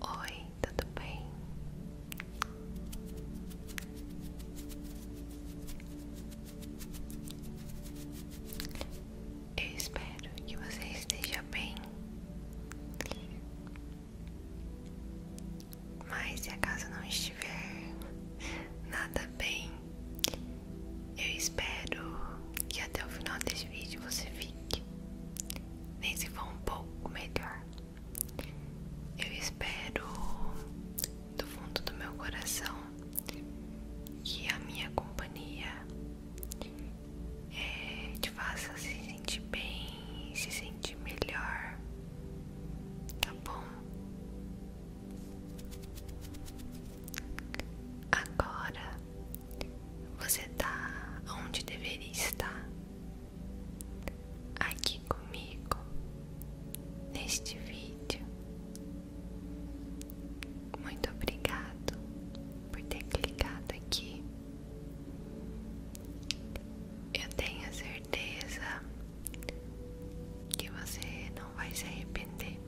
Oi, tudo bem? Eu espero que você esteja bem. Mas se a casa não estiver nada bem, eu espero que até o final desse vídeo você fique. Nem se for um pouco melhor. Eu espero do fundo do meu coração que a minha companhia é, te faça se sentir bem, se sentir melhor, tá bom? Agora você está onde deveria estar, aqui comigo, neste vídeo. Muito obrigado por ter clicado aqui. Eu tenho certeza que você não vai se arrepender.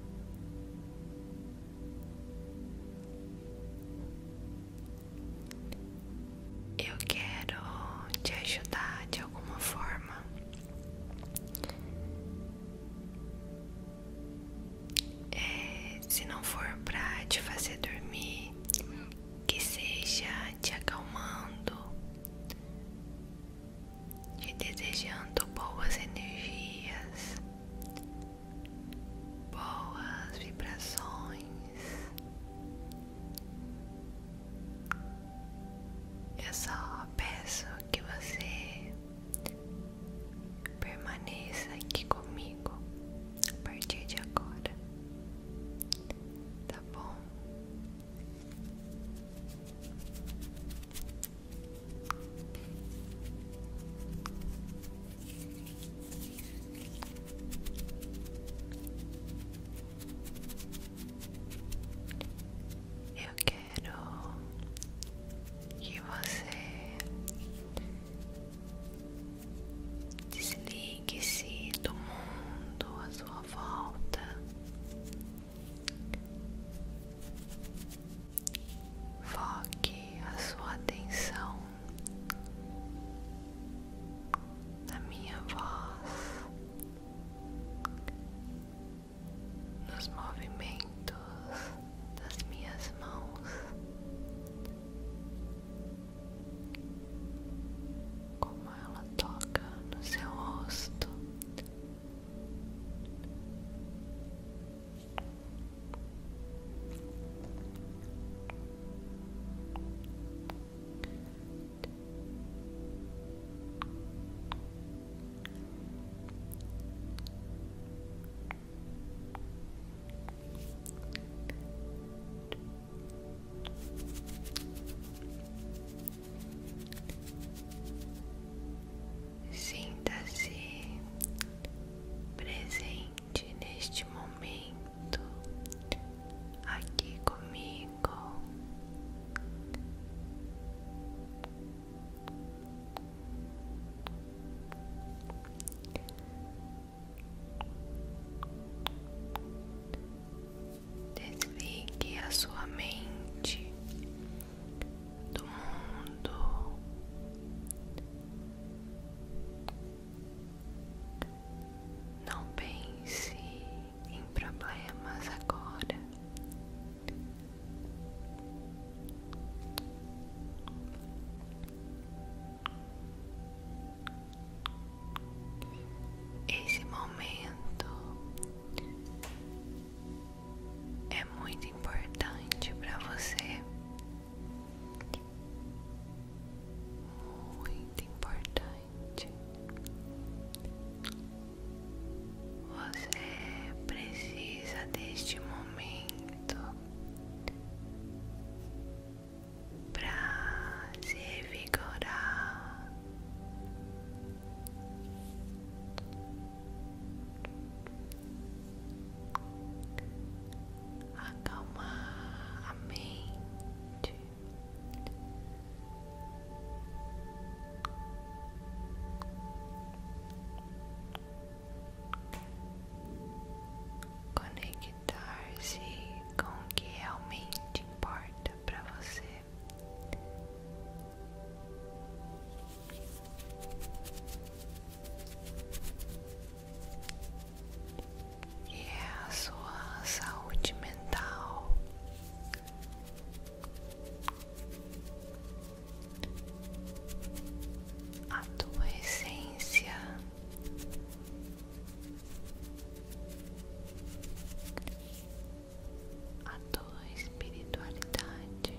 Eu quero te ajudar de alguma forma é, se não for pra te fazer dormir, que seja te acalmando, te desejando boas energias, boas vibrações. Eu só peço que você permaneça aqui comigo a partir de agora, tá bom? Eu quero quero que você desligue-se do mundo à sua volta, foque a sua atenção na minha voz nos movimentos das minhas mãos, como ela toca no seu rosto. Sinta-se presente neste momento aqui comigo. Desligue a sua mente do mundo. Não pense em problemas agora. Esse momento é muito importante para você, muito importante. Você precisa deste momento para se vigorar, Acalmar a mente, Conectar-se com o que realmente importa para você. E é a sua saúde mental a tua essência, a tua espiritualidade.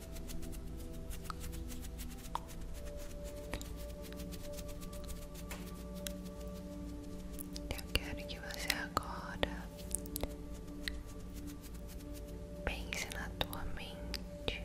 Eu quero que você agora pense na tua mente.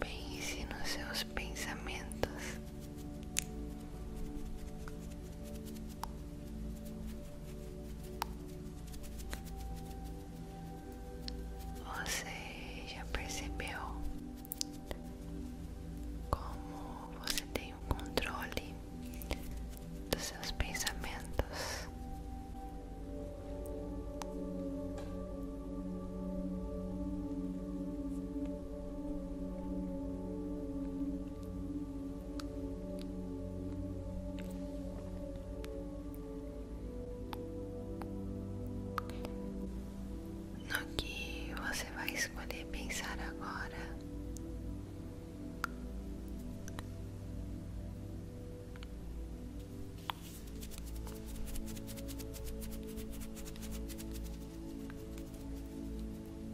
Pense nos seus pensamentos. Você já percebeu como você tem o controle dos seus pensamentos. No que você vai escolher pensar agora,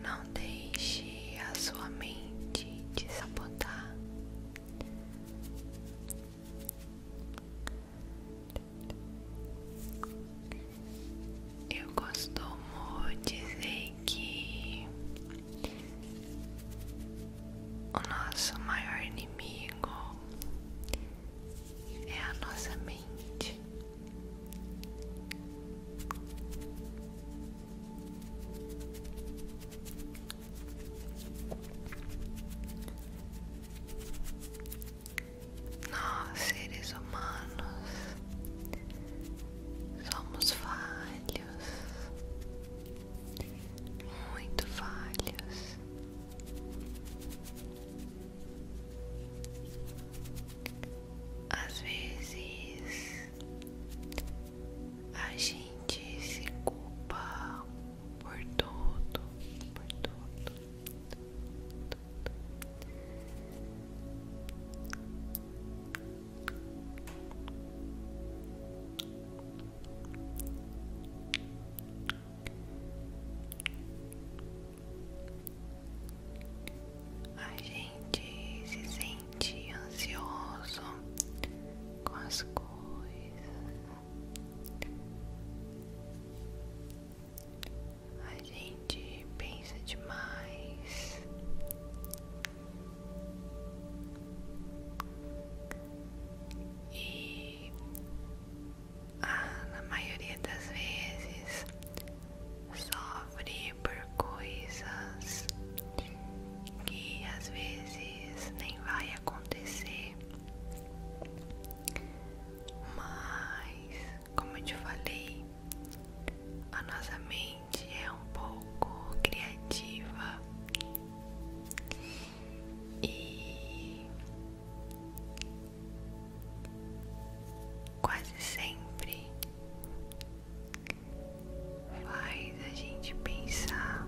não deixe a sua mente te sabotar. Eu costumo dizer que o nosso maior inimigo é a nossa mente. Nós, seres humanos, Somos falhos, muito falhos. Às vezes a gente se culpa por tudo, por tudo. tudo. A gente se sente ansioso com as coisas. A gente pensa demais e ah, a maioria das vezes sofre por coisas que às vezes nem vai acontecer, mas como eu te falei, a nossa mente é um pouco criativa e quase sempre faz a gente pensar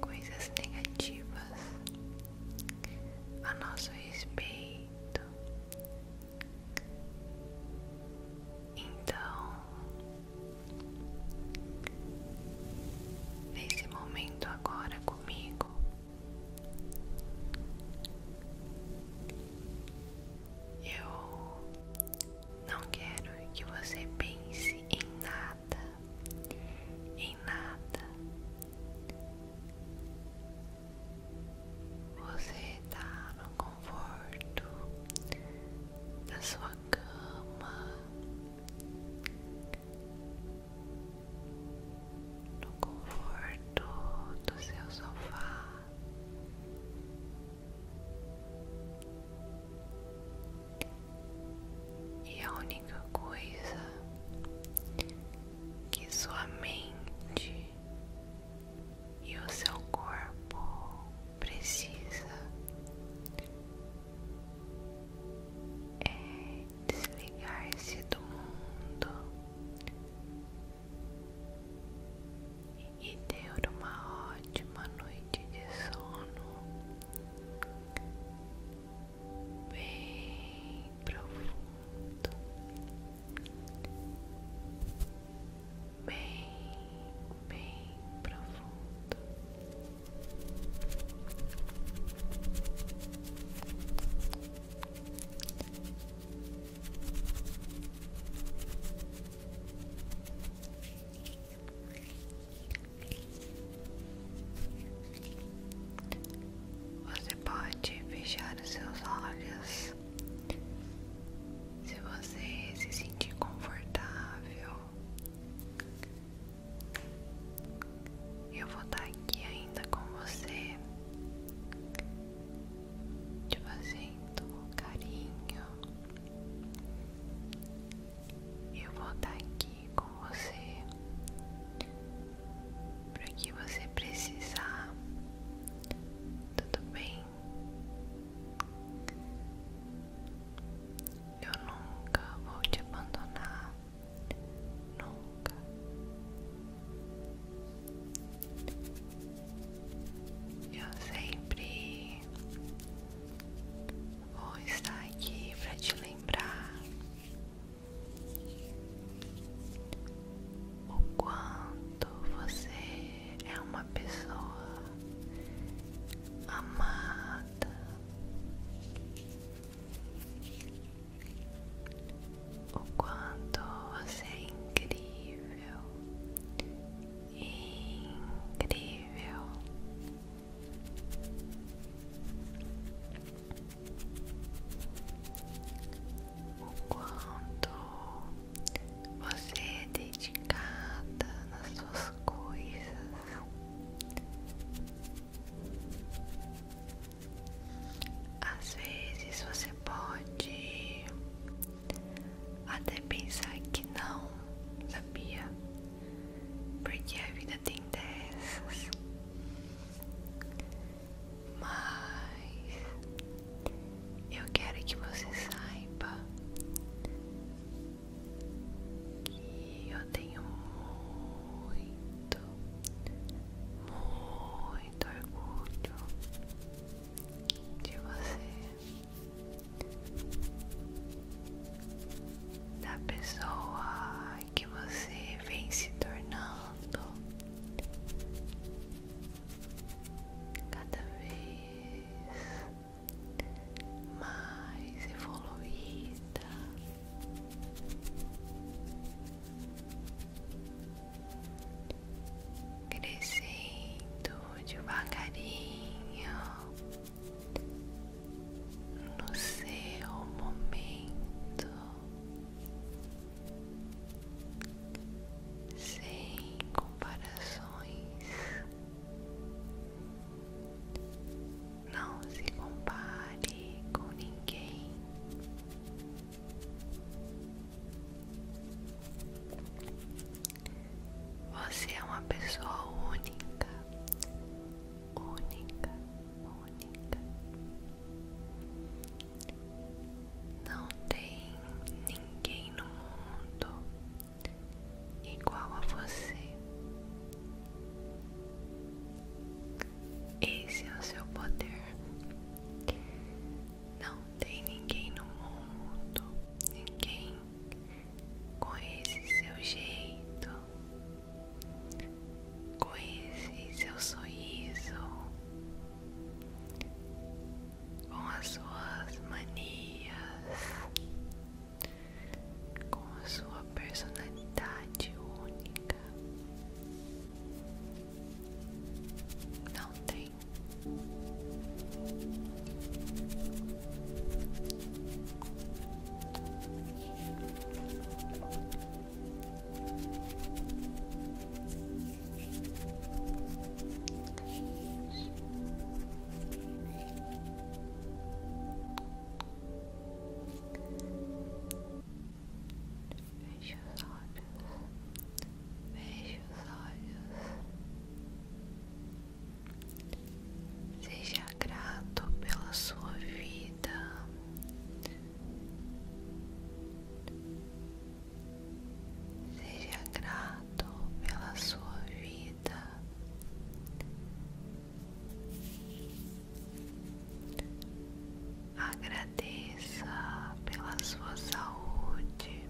coisas negativas a nosso respeito então, nesse momento agora comigo, eu não quero que você pense em nada, em nada. Você está no conforto da sua cama, no conforto do seu sofá. E a única coisa que sua mente e o seu corpo precisa é, desligar-se do mundo e ter uma ótima noite de sono bem bem profundo, bem, bem profundo. Você pode fechar os seus olhos se você se sentir confortável, eu vou estar aqui ainda com você, te fazendo carinho. Eu vou estar aqui com você, para que você precisar. Tudo bem? Eu nunca vou te abandonar. Nunca. Eu sempre vou estar aqui para te lembrar o quanto você é uma pessoa amada. O quanto você é incrível, incrível o quanto você é dedicada nas suas coisas. Às vezes você pode até pensar que não, sabia? Porque a vida tem dessas mas eu quero que você saiba que eu tenho muito, muito orgulho de você, da pessoa que você vem se tornando cada vez mais evoluída. Crescendo devagarinho no seu momento sem comparações. Não se compare com ninguém. Você é uma pessoa única, única, única. Não tem ninguém no mundo igual a você. Esse é o seu poder. Não tem ninguém no mundo, ninguém com esse seu jeito, com esse seu sorriso, com as suas manias, com a sua personalidade única. Não tem. Feche os olhos, feche os olhos, seja grato pela sua vida. Seja grato pela sua vida. Agradeça pela sua saúde.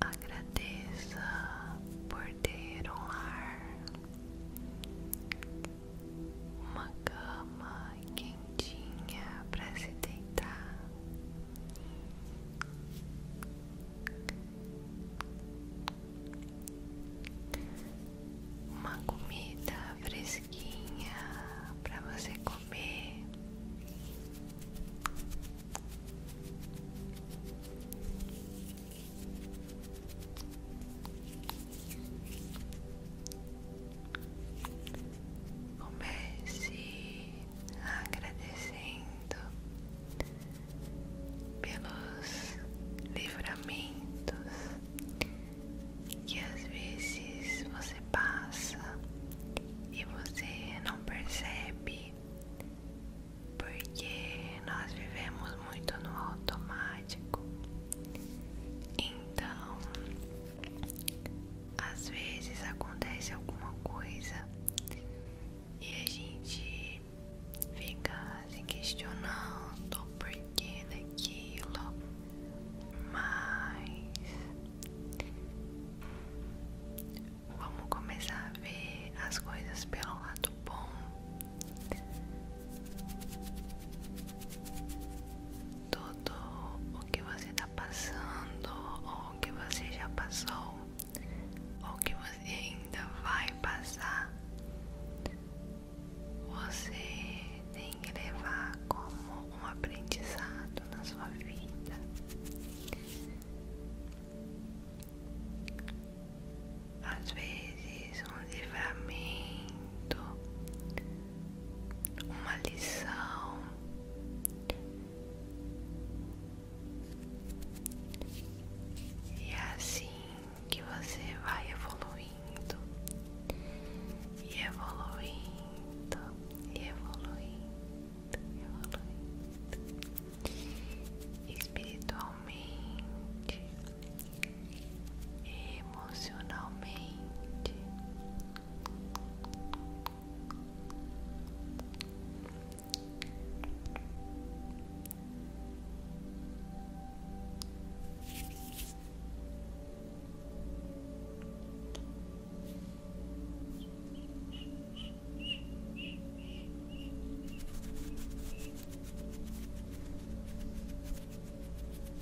Agradeça por ter um lar uma cama quentinha para se deitar. Uma comida fresquinha para você comer. Comece agradecendo pelos livramentos que às vezes você passa e você não percebe porque nós vivemos muito no automático. Então, às vezes acontece alguma coisa e a gente fica se questionando o porquê daquilo, mas vamos começar a ver as coisas pelo lado bom tudo o que você está passando, ou o que você já passou, ou o que você ainda vai passar, você tem que levar como um aprendizado na sua vida. Às vezes, um livramento uma lição e é assim que você vai evoluindo e evoluindo e evoluindo e evoluindo espiritualmente emocionalmente,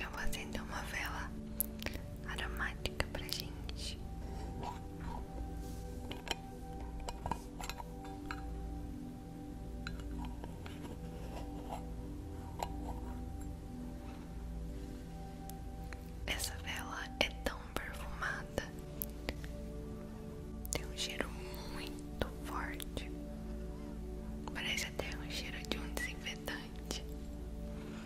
eu vou acender uma vela aromática pra gente. Essa vela é tão perfumada, tem um cheiro muito forte, parece até um cheiro de um desinfetante.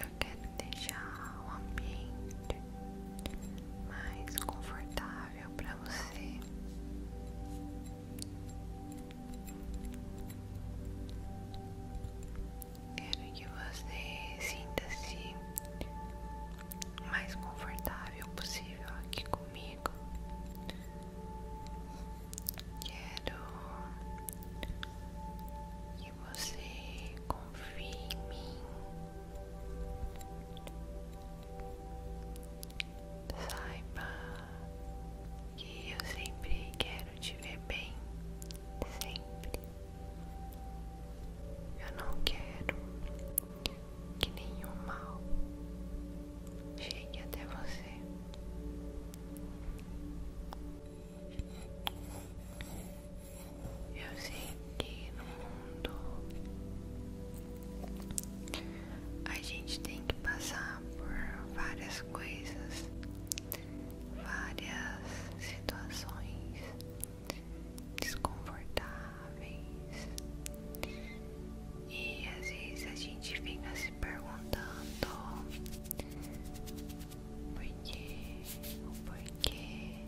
Eu quero deixar o ambiente mais confortável para você. Quero que você sinta-se mais confortável possível aqui comigo. Quero que você confie em mim. Saiba que eu sempre quero te ver bem, sempre. Eu não quero que nenhum mal chegue até você. Eu sei que no mundo a gente tem que passar por várias coisas, várias situações desconfortáveis e às vezes a gente fica se perguntando por que, por que,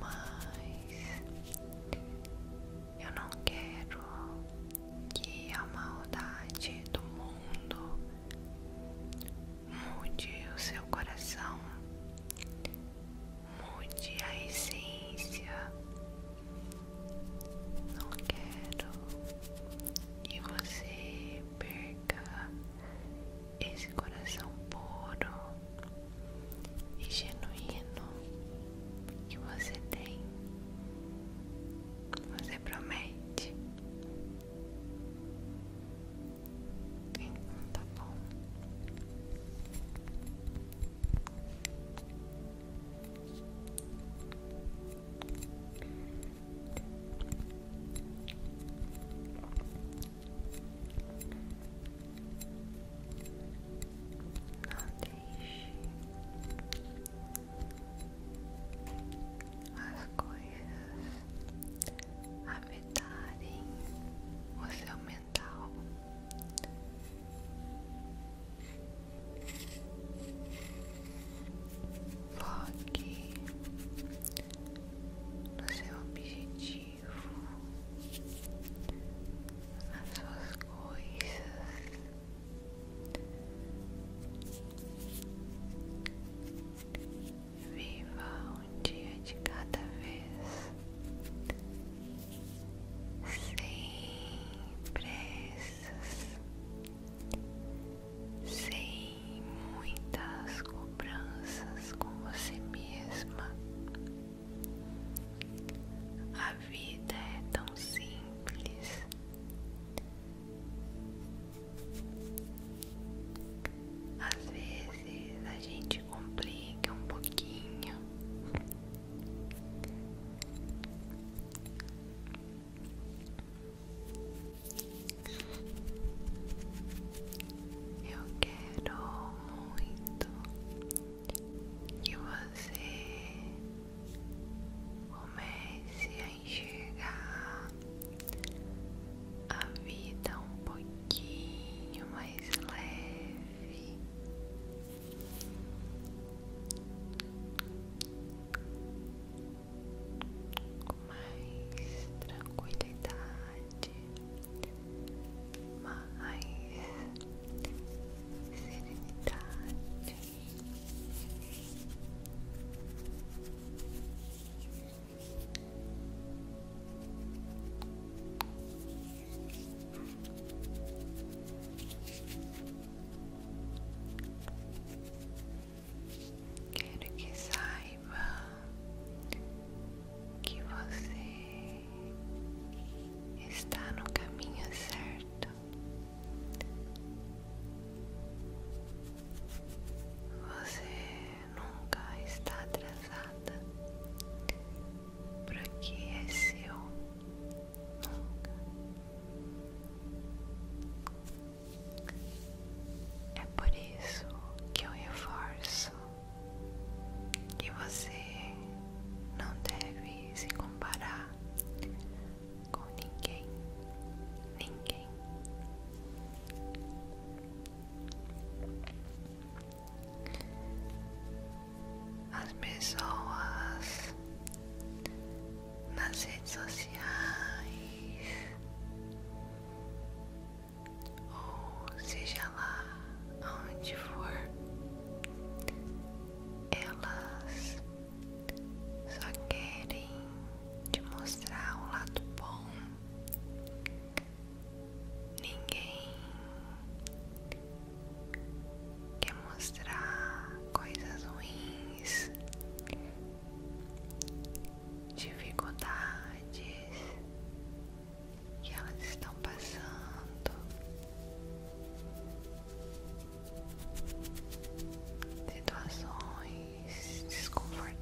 mas eu não quero que a maldade do mundo mude o seu coração, mude a essência. Não quero que você perca esse coração puro e genuíno que você tem. Você promete? Então tá bom as coisas afetarem o seu mental. Foque no seu objetivo, nas suas coisas. Viva um dia de cada vez. Sem pressas, sem muitas cobranças com você mesma, a vida é tão simples. Às vezes a gente complica um pouquinho. Eu quero muito que você comece a enxergar a vida um pouquinho mais leve. mais tranquilidade, mais serenidade. Quero que saiba que você está no caminho certo. Você nunca está atrasada porque é seu. Nunca. É por isso que eu reforço que você não deve se comparar com ninguém, ninguém. As pessoas nas redes sociais, ou seja lá onde for, elas só querem te mostrar o lado bom. Ninguém quer mostrar coisas ruins, dificuldades que elas estão passando situações desconfortáveis,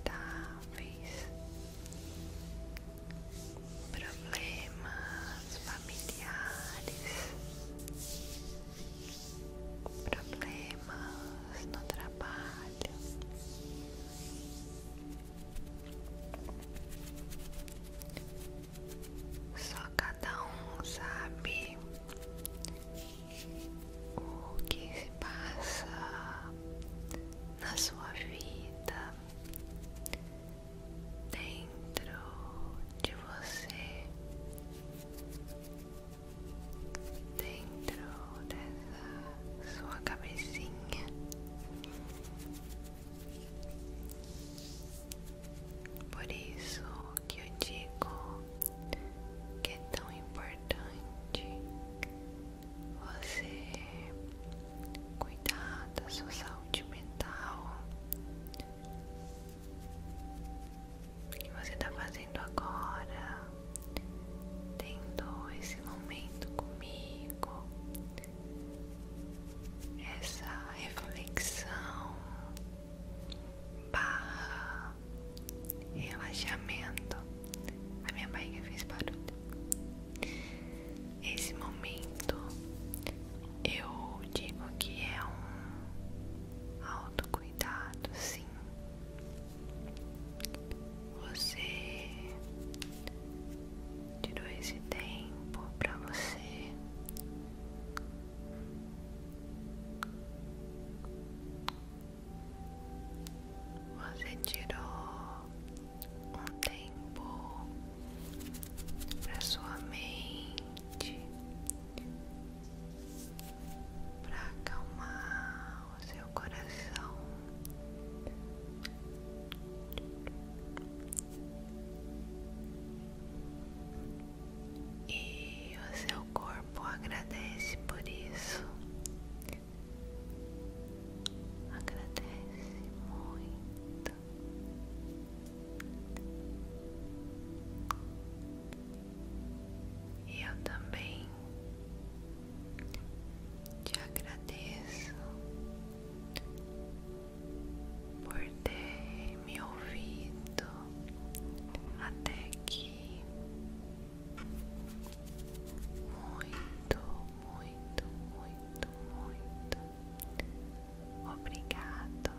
problemas familiares, problemas no trabalho. Só cada um sabe o que se passa na sua vida dentro de você, dentro dessa sua cabecinha. Por isso que eu digo que é tão importante você cuidar da sua saúde mental. que você está fazendo agora, tendo esse momento comigo, essa reflexão barra relaxamento. A minha barriga fez barulho. Esse momento eu digo que é um autocuidado, sim. Você tirou esse tempo para você você tirou um tempo para sua mente para acalmar o seu coração e o seu corpo agradece por isso. Agradece muito. E eu também te agradeço por ter me ouvido até aqui. Muito, muito, muito, muito obrigado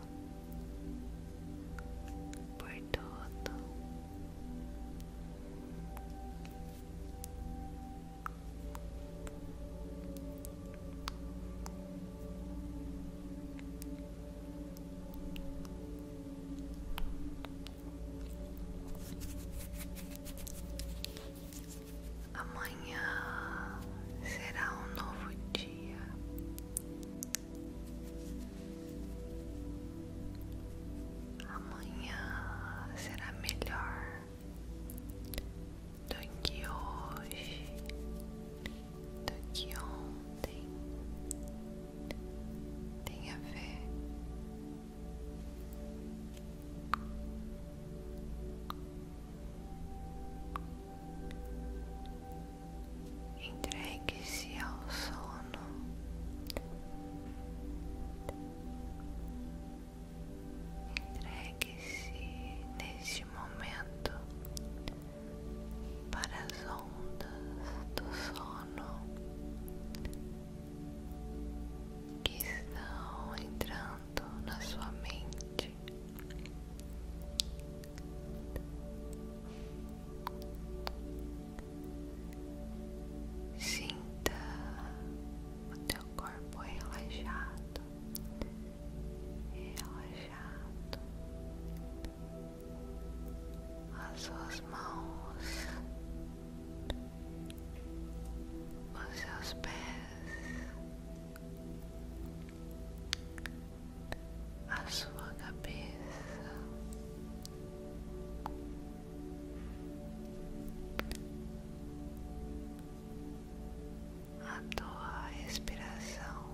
por tudo. Amanhã será um novo dia. Amanhã será melhor do que hoje do tá que ontem tem a ver entregue-se ao sono entregue-se neste momento para as ondas do sono que estão entrando na sua mente. Sinta o teu corpo relaxado, relaxado, as suas mãos, os seus pés, a sua cabeça, a tua respiração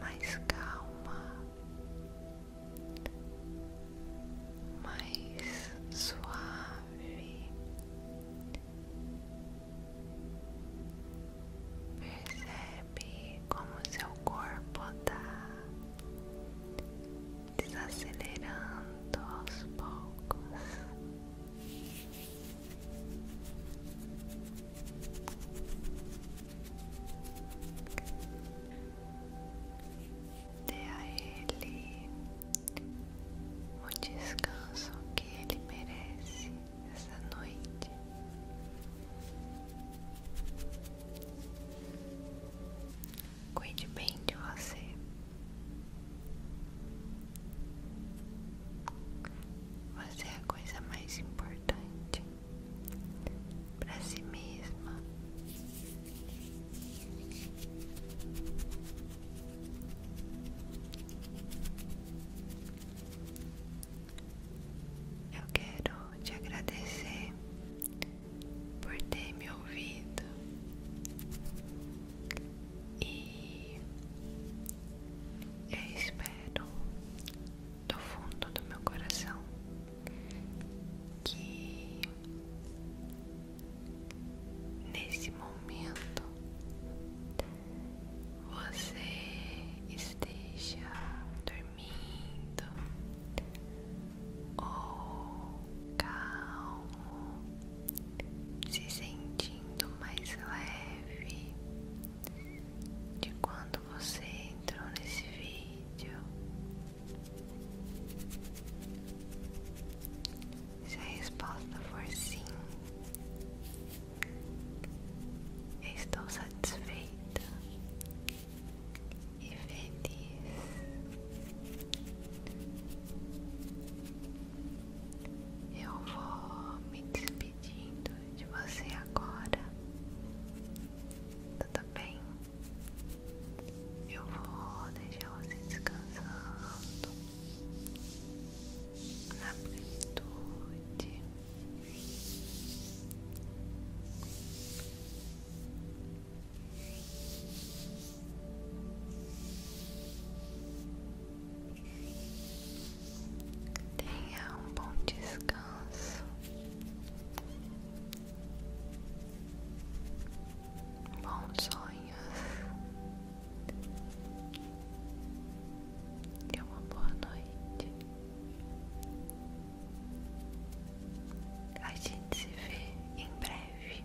mais calma, mais suave. Percebe como seu corpo está desacelerando aos poucos. Dê a ele o descanso que ele merece essa noite. Cuide bem de você. Você é a coisa mais importante para si mesma. Eu quero te agradecer por ter me ouvido e eu espero do fundo do meu coração que nesse momento você esteja dormindo ou calmo, se sentindo mais leve de quando você entrou nesse vídeo. Se a resposta for sim, estou satisfeita e feliz. Eu vou me despedir despedindo de você agora. Tudo bem? Eu vou deixar você descansando na plenitude. Tenha um bom descanso. Bons sonhos. E uma boa noite. A gente se vê em breve.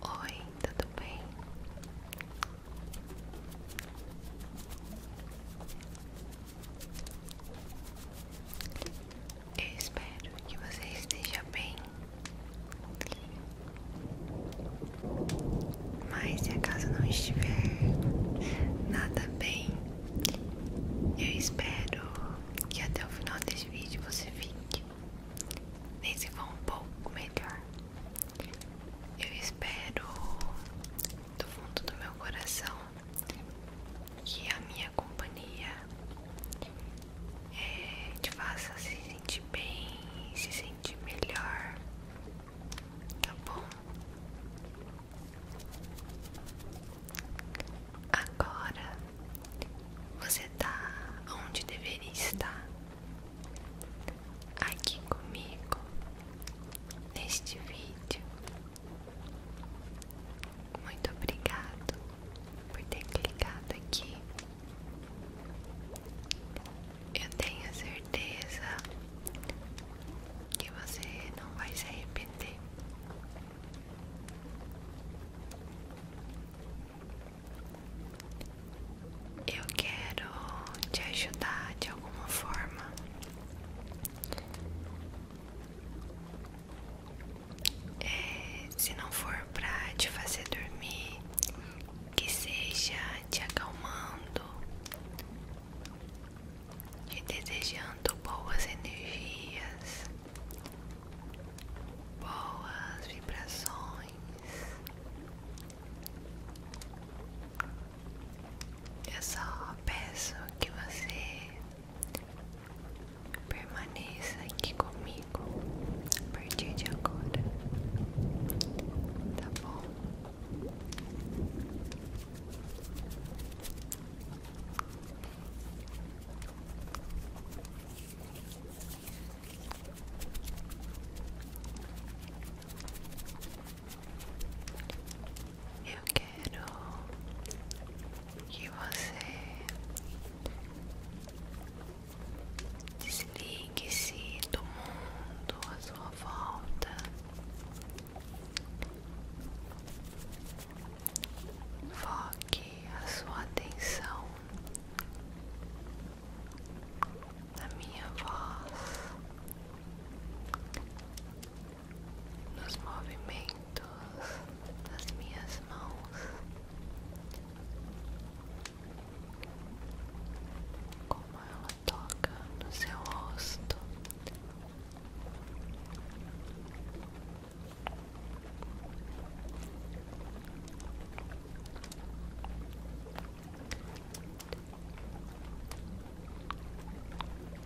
Oi, tudo bem? Eu espero que você esteja bem. Mas se a casa não estiver nada bem, eu espero que até o final desse vídeo você fique. Nem se for um pouco melhor. Eu espero do fundo do meu coração que a minha companhia eh, te faça se sentir bem, se sentir melhor, tá bom? Agora você está onde deveria estar, aqui comigo, neste vídeo. Muito obrigado por ter clicado aqui. Eu tenho certeza que você não vai se arrepender. Eu quero te ajudar de alguma forma. É, se não for pra te fazer dormir, que seja te acalmando, te desejando boas energias, boas vibrações. Eu só peço que você permaneça aqui comigo a partir de agora, tá bom? Eu quero que você desligue-se do mundo à sua volta. Foque a sua atenção na minha voz, nos movimentos das minhas mãos, como ela toca no seu rosto.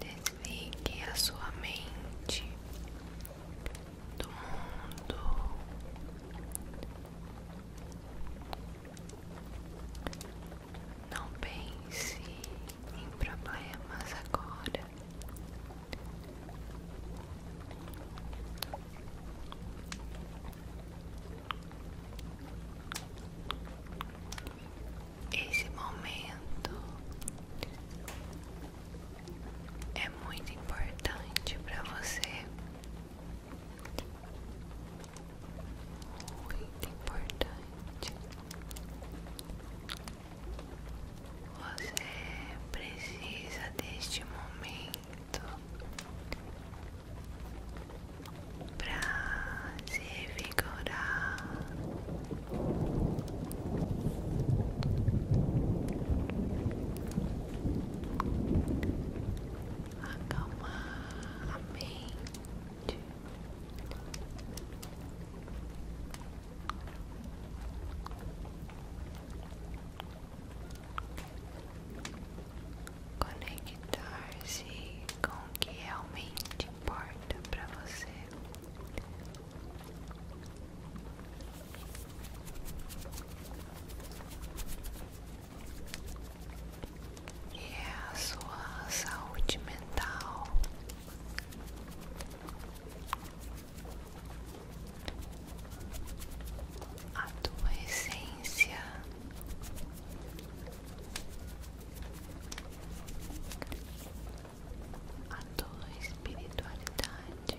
Desligue a sua mente do mundo. Não pense em problemas agora. Esse momento é muito importante para você. Muito importante. Você precisa deste momento para se revigorar. Acalmar a mente Conectar-se com o que realmente importa para você. E é a sua saúde mental, a tua essência, a tua espiritualidade.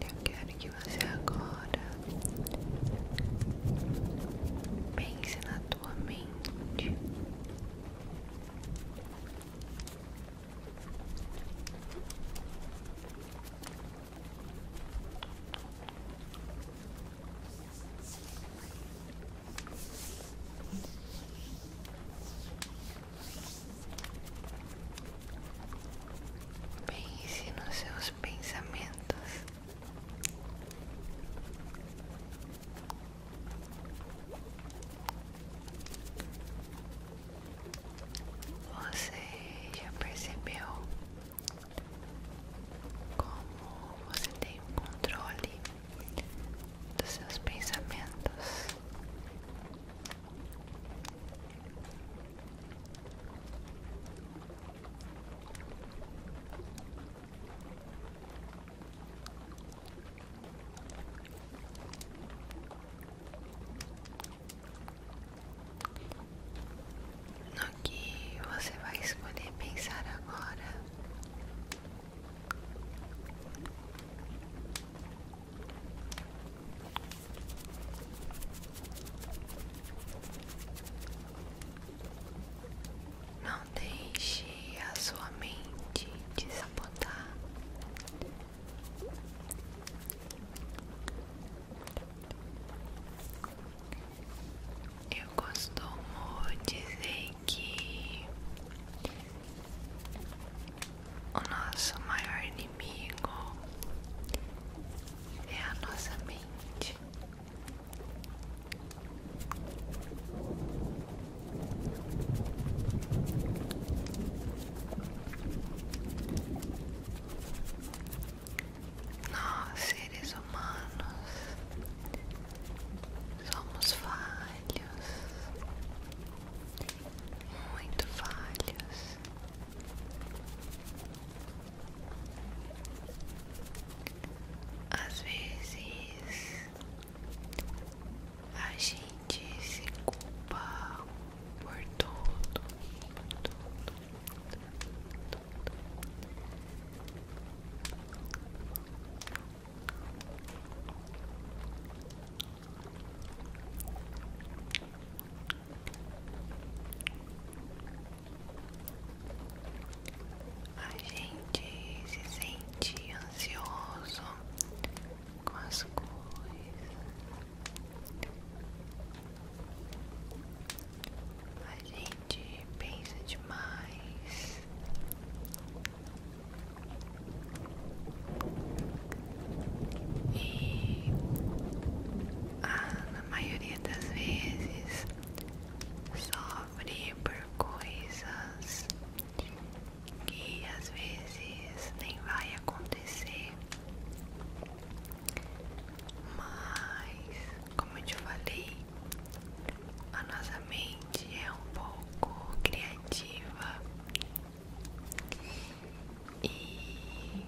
Eu quero que você agora pense na tua mente. Pense nos seus pensamentos. Você já percebeu como você tem controle dos seus pensamentos. No que você vai escolher pensar agora não deixe a sua mente te Eu costumo dizer que o nosso maior inimigo é a nossa mente. Nós, seres humanos, Somos falhos, muito falhos. Às vezes a gente se culpa por tudo, a gente se sente ansioso com as coisas. A gente pensa demais. E ah, maioria das vezes sofre por coisas que às vezes nem vai acontecer. Mas, como eu te falei, a nossa mente gente é um pouco criativa e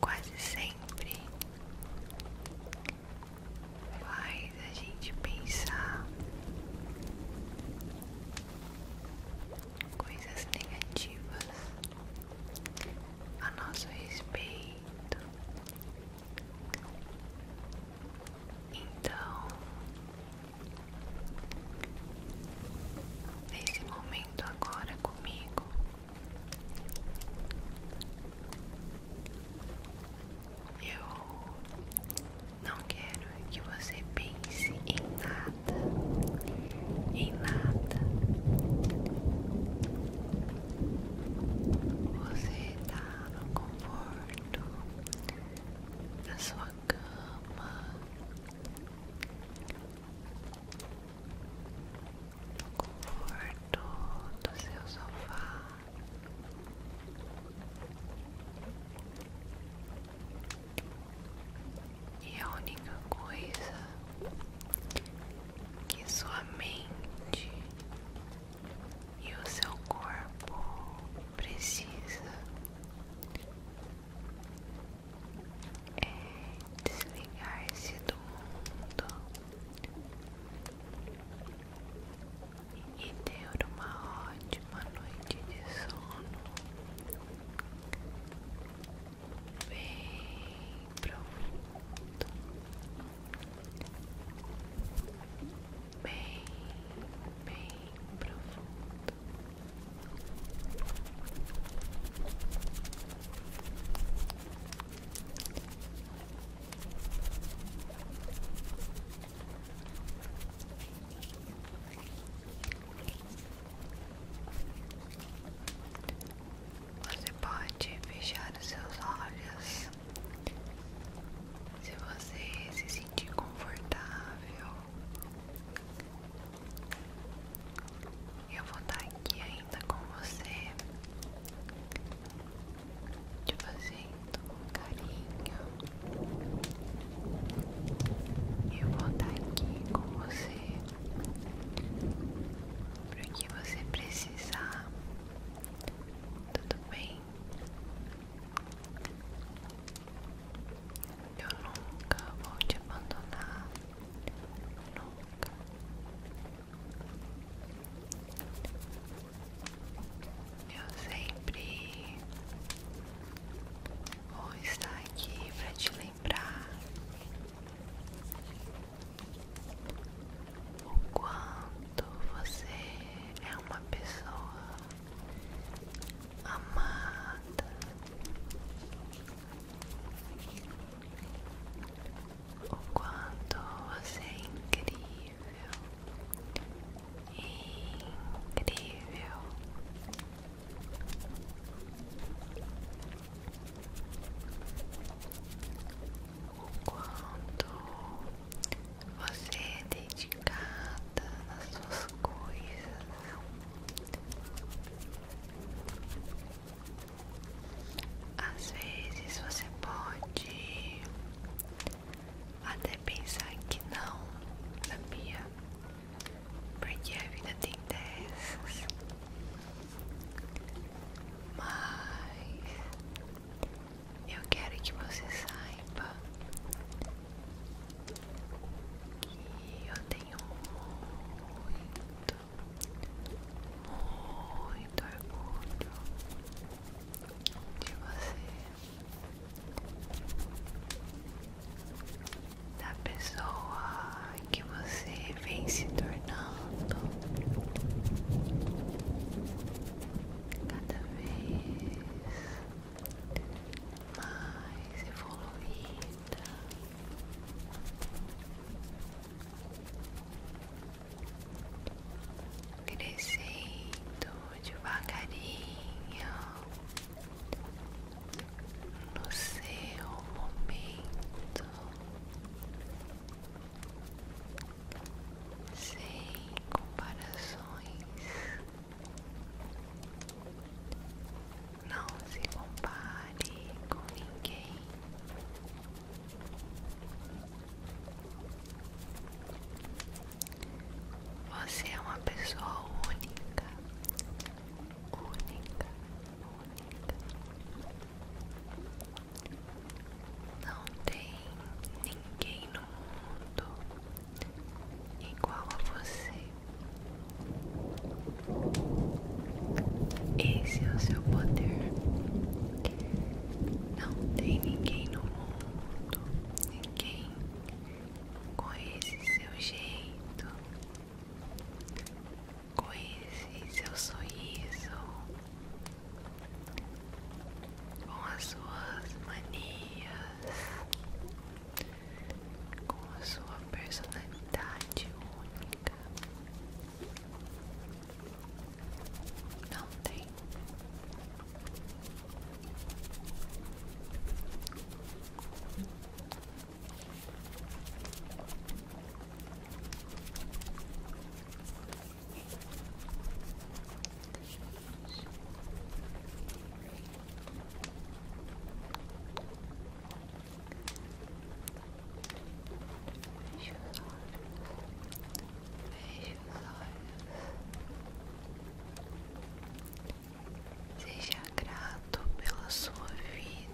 quase sempre faz a gente pensar coisas negativas a nosso respeito então, nesse momento agora comigo, eu não quero que você pense em nada, em nada. Você está no conforto da sua cama, no conforto do seu sofá. E a única coisa que sua mente e o seu corpo precisa é, desligar-se do mundo e ter uma ótima noite de sono bem profundo bem, bem profundo. Você pode fechar os seus olhos se você se sentir confortável, eu vou estar aqui ainda com você, te fazendo um carinho. Eu vou estar aqui com você para que você precisar. Tudo bem? Eu nunca vou te abandonar. Nunca. Eu sempre vou estar aqui para te lembrar o quanto você é uma pessoa amada, o quanto você é incrível, incrível quanto você é dedicada nas suas coisas. Às vezes você pode até pensar que não, sabia? Porque a vida tem dessas. Mas eu quero que você saiba que eu tenho muito, muito orgulho de você, da pessoa que você vem se tornando cada vez mais evoluída. Crescendo devagarinho no seu momento sem comparações. Não se compare com ninguém. Você é uma pessoa única, única, única. Não tem ninguém no mundo igual a você. Esse é o seu poder. Não tem ninguém no mundo, ninguém com esse seu jeito, com esse seu sorriso com as suas manias, com a sua personalidade única. Não tem. Feche os olhos. Feche os olhos. Seja grato pela sua vida.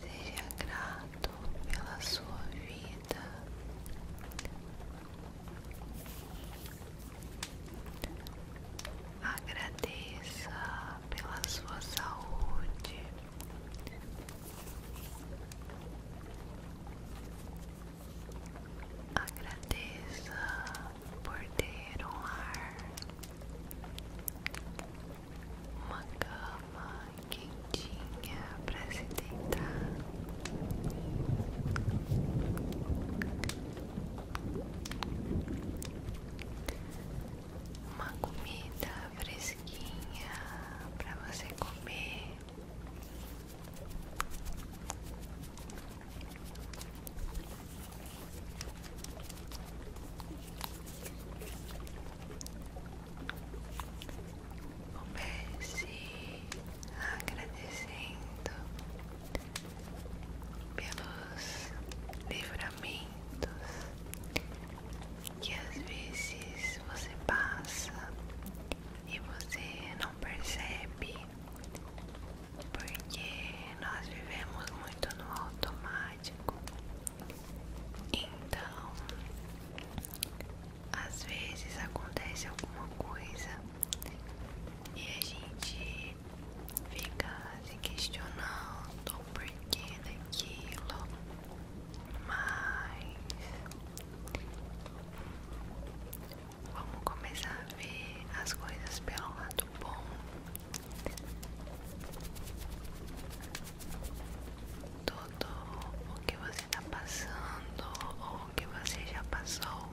Seja grato pela sua vida. Agradeça pela sua saúde. Agradeça por ter um ar uma cama quentinha para se deitar. Uma comida fresquinha para você comer. Comece agradecendo pelos livramentos que às vezes você passa e você não percebe porque nós vivemos muito no automático então, às vezes acontece alguma coisa e a gente fica se questionando o porquê daquilo, mas vamos começar a ver as coisas pelo lado bom tudo o que você está passando, ou o que você já passou,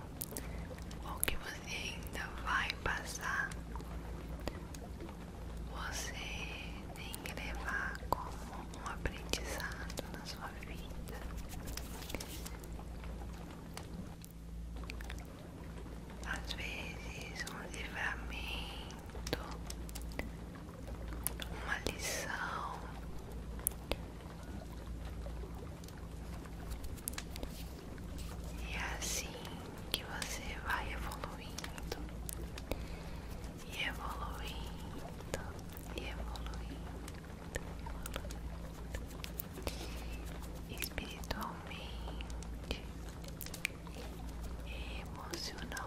ou o que você ainda vai passar, você tem que levar como um aprendizado na sua vida. Às vezes, um livramento uma lição e é assim que você vai evoluindo e evoluindo e evoluindo, evoluindo espiritualmente emocionalmente.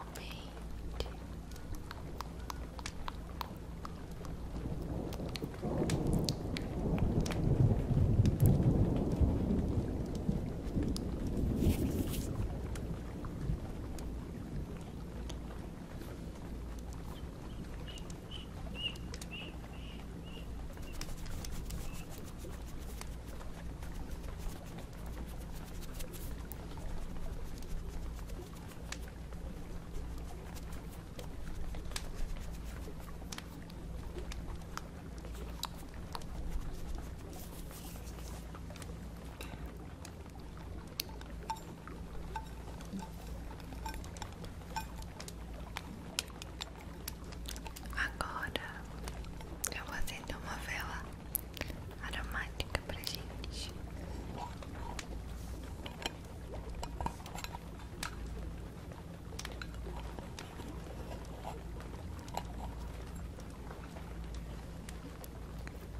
Agora eu vou acender uma vela aromática pra gente.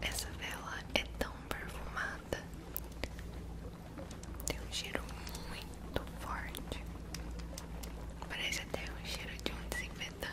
Essa vela é tão perfumada, tem um cheiro muito forte, parece até um cheiro de um desinfetante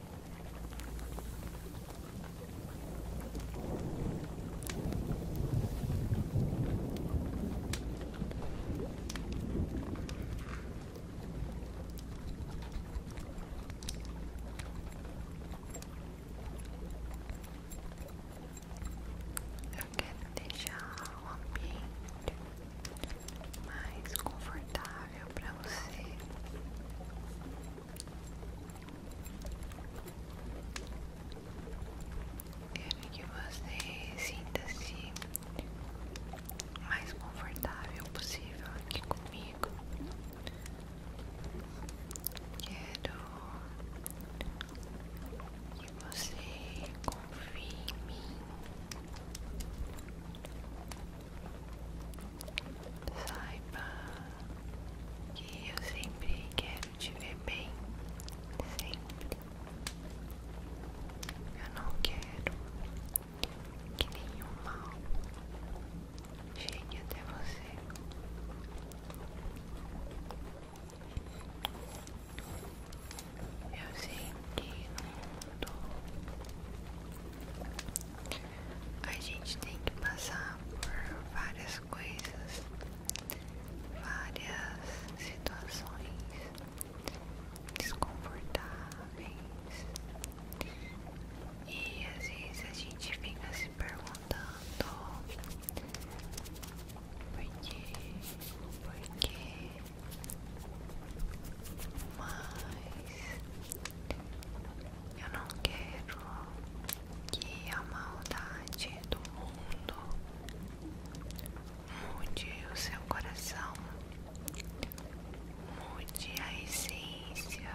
Eu quero deixar o ambiente mais confortável para você. Quero que você sinta-se mais confortável possível aqui comigo. Quero que você confie em mim. Saiba que eu sempre quero te ver bem, sempre. Eu não quero que nenhum mal chegue até você. Eu sei que no mundo a gente tem que passar por várias coisas, várias situações desconfortáveis e às vezes a gente fica se perguntando por que, por que mas eu não quero que a maldade do mundo mude o seu coração, mude a essência.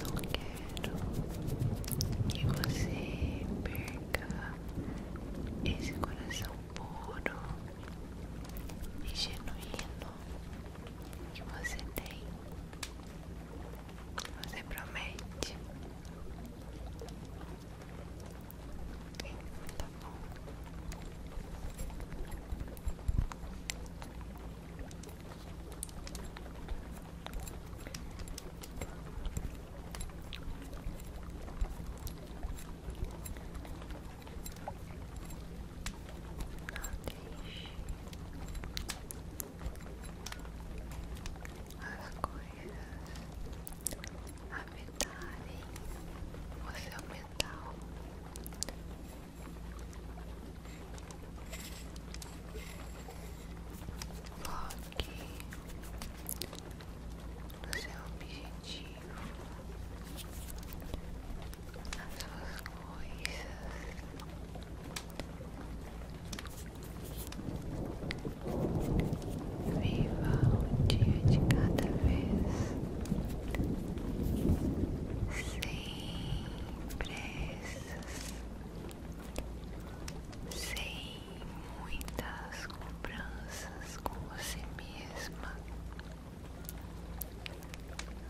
Não quero que você perca esse coração puro e genuíno que você tem. Você promete? Tá as coisas a habitarem o seu metal. Foque é seu objetivo, as suas coisas. Viva um dia de cada vez, sem pressas, sem muitas cobranças com você mesma.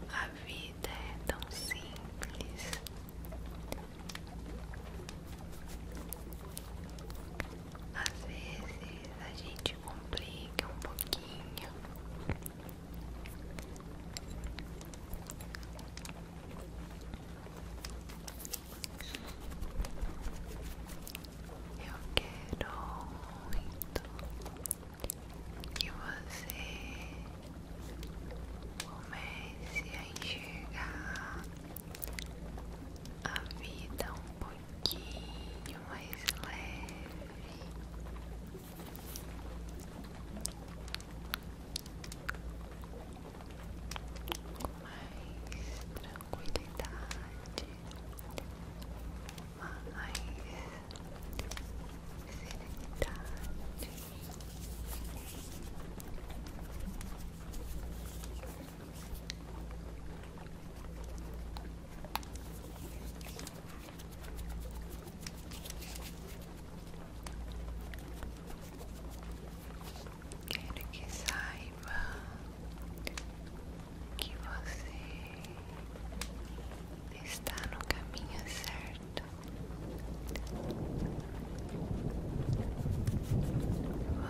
A vida é tão simples. Às vezes a gente complica um pouquinho. Eu quero muito e você comece a enxergar a vida um pouquinho mais leve. mais tranquilidade, mais serenidade. Quero que saiba que você está no caminho certo.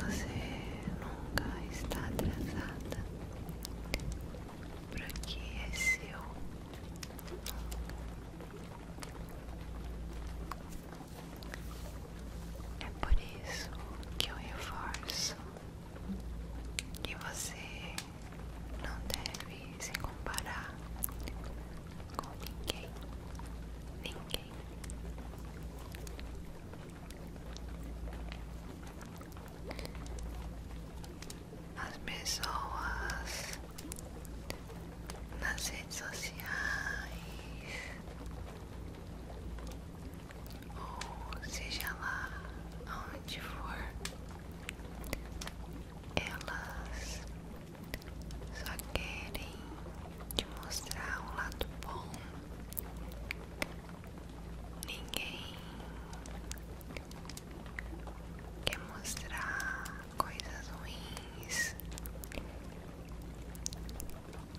Você nunca está atrasada porque é seu. É por isso que eu reforço que você não deve se comparar com ninguém, ninguém. As pessoas nas redes sociais, ou seja lá onde for, elas só querem te mostrar um lado bom. Ninguém quer mostrar coisas ruins,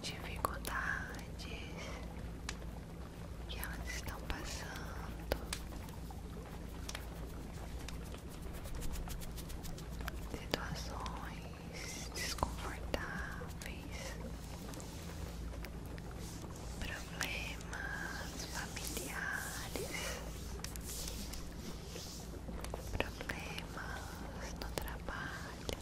dificuldades que elas estão passando situações desconfortáveis, problemas familiares, problemas no trabalho.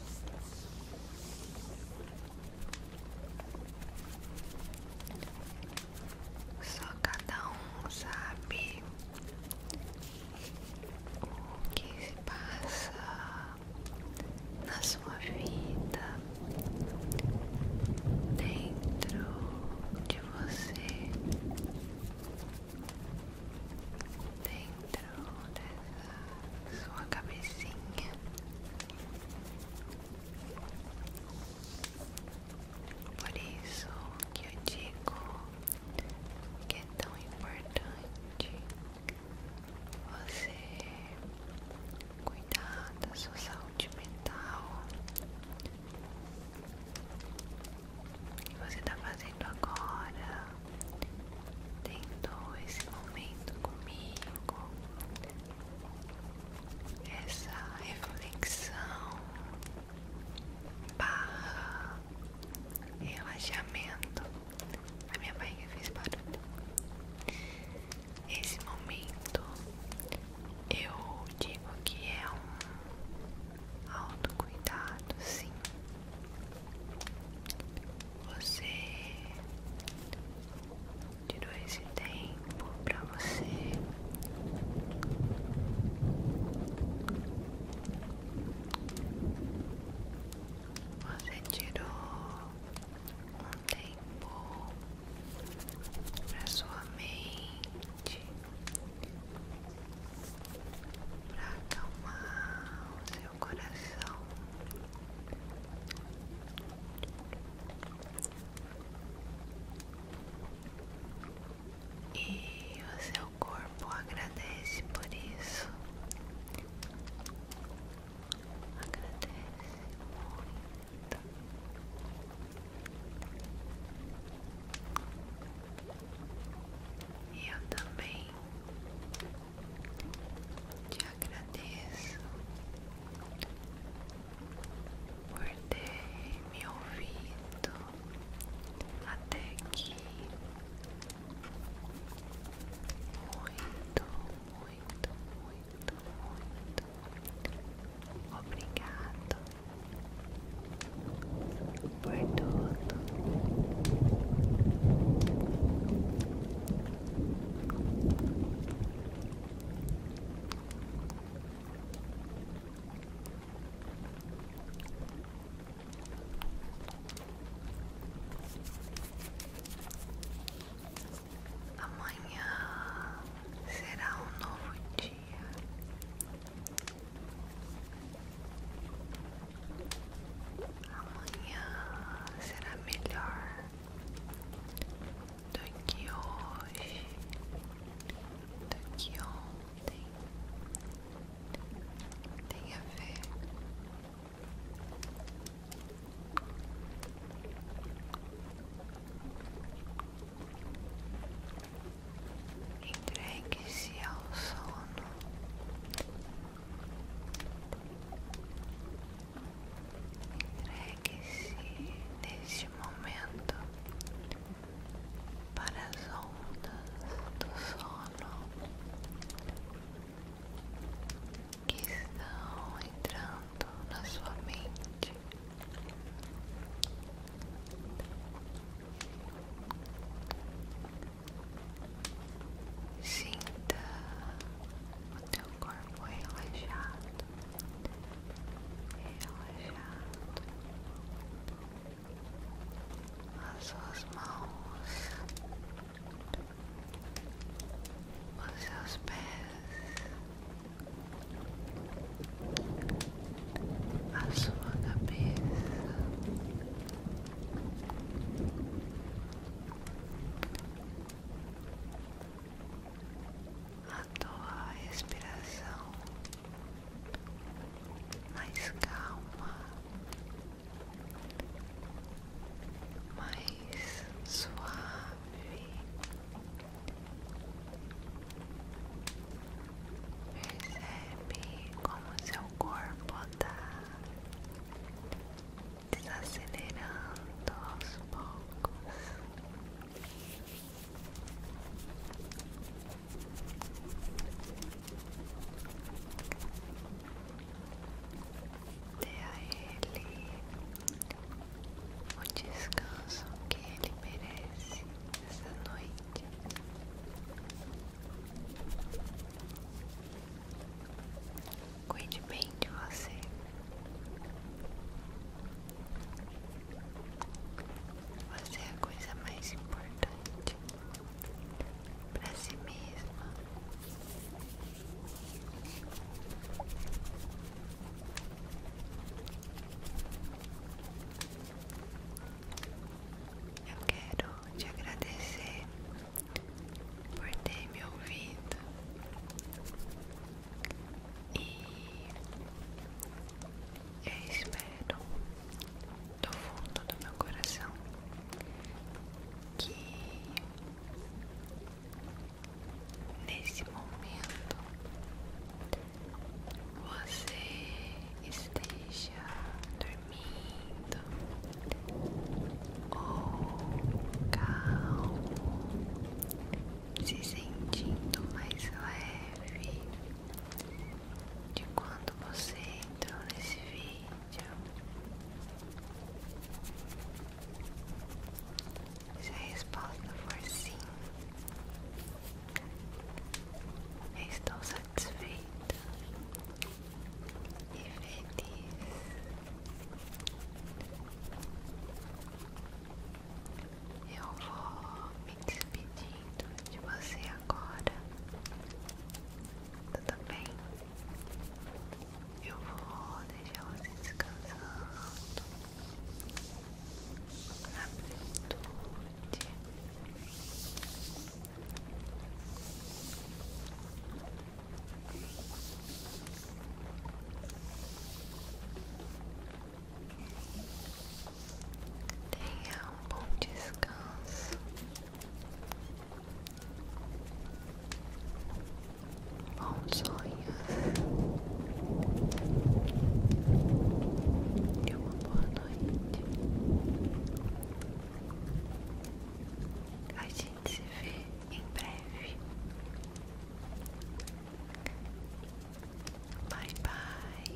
Só cada um sabe o que se passa na sua vida dentro de você, dentro dessa sua cabecinha. Por isso que eu digo que é tão importante você cuidar da sua saúde mental. você está fazendo agora, tendo esse momento comigo, essa reflexão barra relaxamento. A minha barriga fez barulho. Esse momento eu digo que é um autocuidado, sim. Você tirou esse tempo pra você você tirou um tempo para sua mente para acalmar o seu coração e o seu corpo agradece por isso. Agradece muito. Eu também te agradeço por ter me ouvido até aqui. Muito, muito, muito, muito obrigado por tudo. Amanhã será um novo dia. Amanhã será melhor do que hoje, do que ontem tem, tem a ver entregue-se ao sono entregue-se neste momento para as ondas do sono que estão entrando na sua mente. Sinta o teu corpo relaxado, relaxado, as suas mãos, os seus pés, a sua cabeça. A tua respiração mais calma, mais suave. Percebe como seu corpo está desacelerando aos poucos. Dê a ele o descanso que ele merece essa noite. Cuide bem de você. Você é a coisa mais importante para si mesma. Eu quero te agradecer por ter me ouvido e espero do fundo do meu coração, que nesse momento você esteja dormindo ou calmo, se sentindo mais leve de quando você entrou nesse vídeo. Se a resposta for sim, estou satisfeita e feliz. Eu vou me despedindo de você agora. Tudo bem? Eu vou deixar você descansando na plenitude. Tenha um bom descanso. Bons sonhos. E uma boa noite. A gente se vê em breve. Bye bye.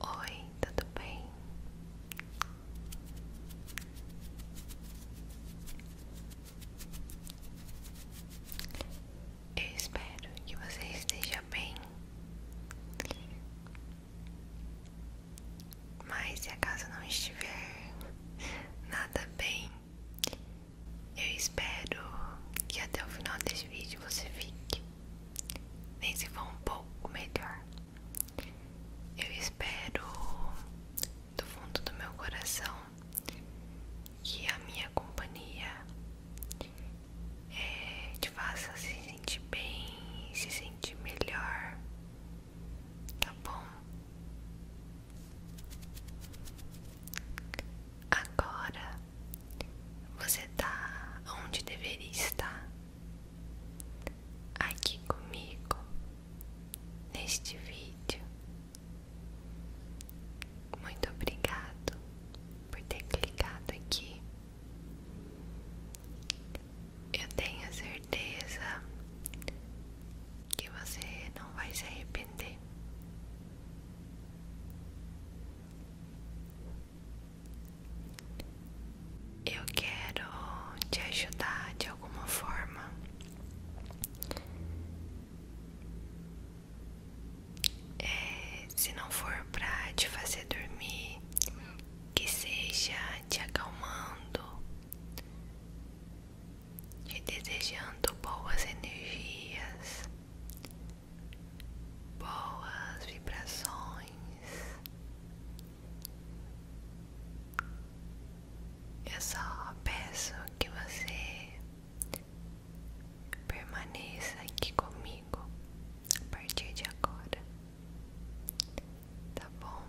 Oi, tudo bem? Eu espero que você esteja bem. Mas se a casa não estiver nada bem, eu espero que até o final desse vídeo você fique. Nem se for um pouco melhor. Eu espero do fundo do meu coração que a minha companhia é, te faça se sentir bem, se sentir melhor, tá bom? Agora você está onde deveria estar, aqui comigo, neste vídeo. Muito obrigado por ter clicado aqui. Eu tenho certeza que você não vai se arrepender. Eu quero te ajudar de alguma forma. É, se não for pra te fazer dormir, que seja te acalmando, te desejando boas energias, boas vibrações. Eu só peço que você permaneça aqui comigo a partir de agora, tá bom?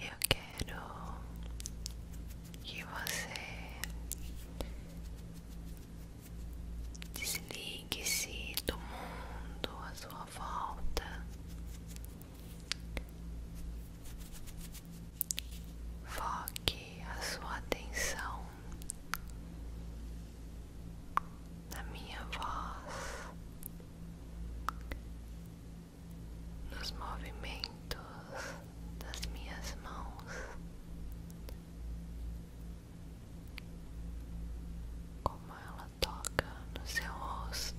Eu quero que você desligue-se do mundo à sua volta. Foque a sua atenção na minha voz, nos movimentos das minhas mãos, como ela toca no seu rosto.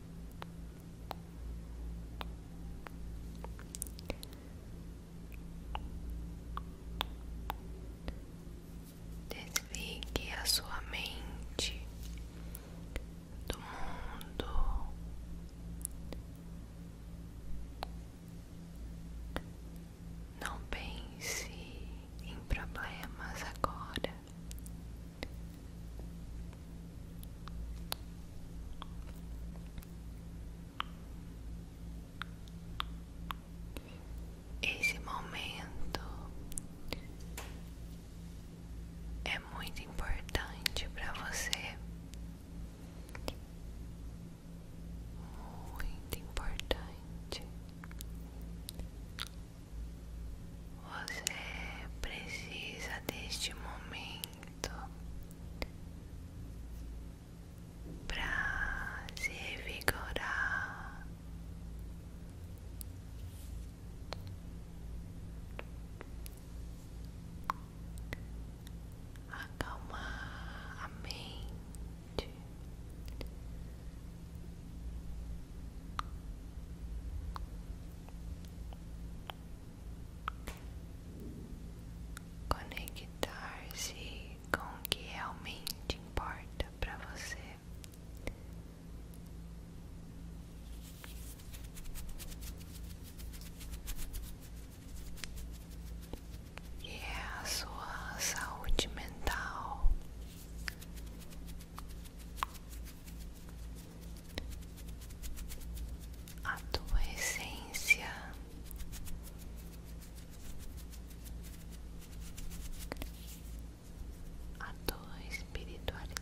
Desligue a sua mente do mundo. Não pense em problemas agora. Esse momento é muito importante para você, muito importante. Você precisa deste momento para se vigorar, Acalmar a mente Conectar-se com o que realmente importa para você. Que é a sua saúde mental, a tua essência a tua espiritualidade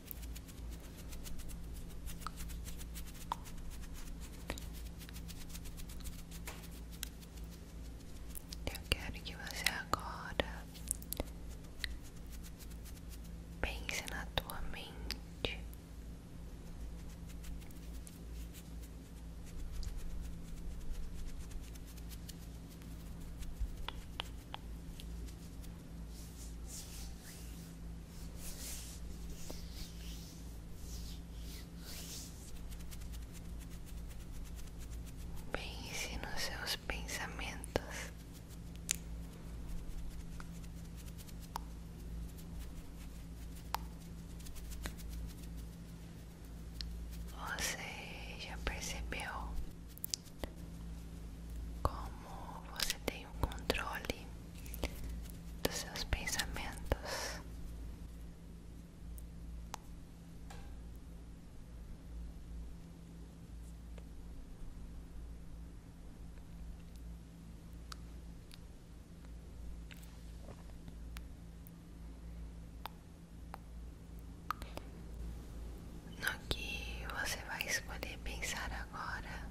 Eu quero que você agora pense na tua mente. Pense nos seus pensamentos. Você já percebeu como você tem o controle dos seus pensamentos. No que você vai escolher pensar agora,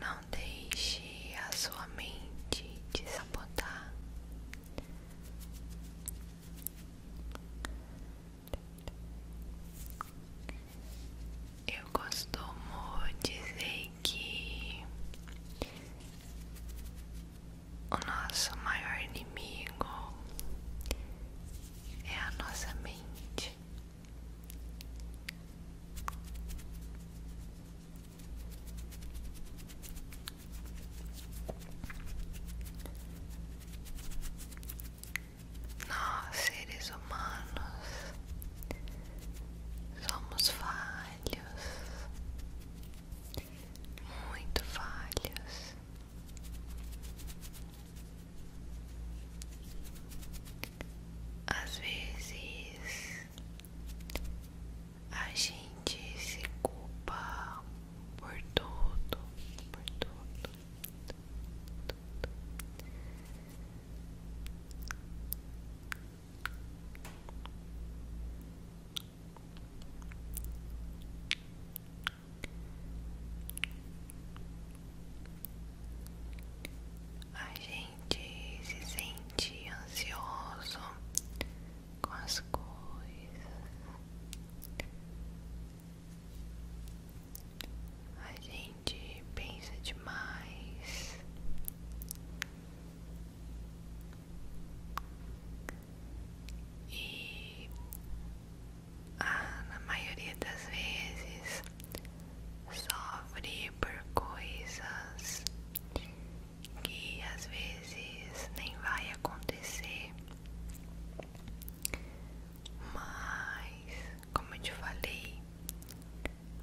não deixe a sua mente desapontar. Eu costumo dizer que o nosso maior inimigo é a nossa mente. Nós, seres humanos, Somos falhos, muito falhos. Às vezes a gente se culpa por tudo, por tudo. A gente se sente ansioso com as coisas. A gente pensa demais. E ah, a maioria das vezes sofre por coisas que às vezes nem vai acontecer, mas como eu te falei,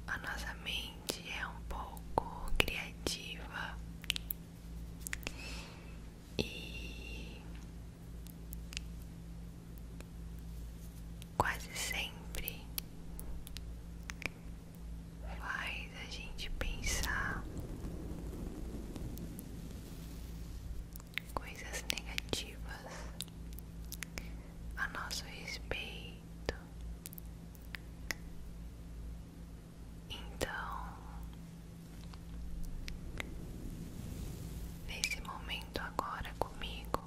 a nossa mente é um pouco criativa e quase sempre faz a gente pensar coisas negativas a nosso respeito então, nesse momento agora comigo,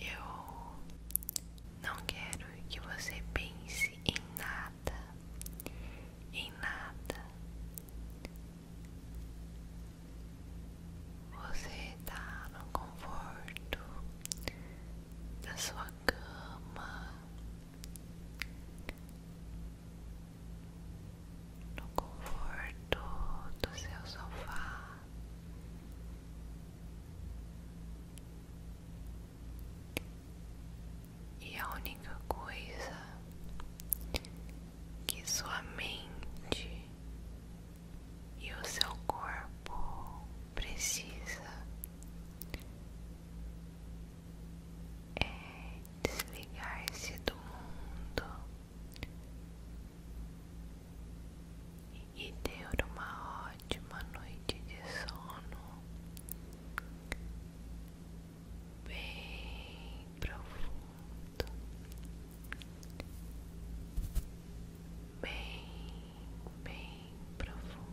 eu não quero que você pense em nada, em nada. Você está no conforto da sua cama, no conforto do seu sofá. E a única coisa que sua mente e o seu corpo precisa é, desligar-se do mundo e ter uma ótima noite de sono bem profundo bem, bem profundo.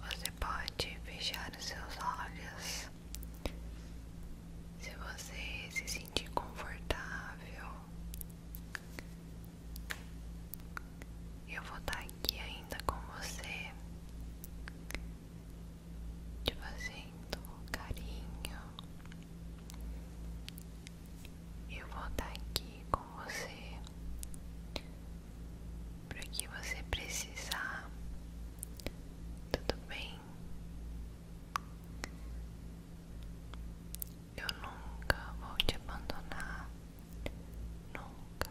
Você pode fechar os seus olhos se você se sentir confortável. Eu vou estar aqui ainda com você, te fazendo carinho. Eu vou estar aqui com você para que você precisar. Tudo bem? Eu nunca vou te abandonar. Nunca.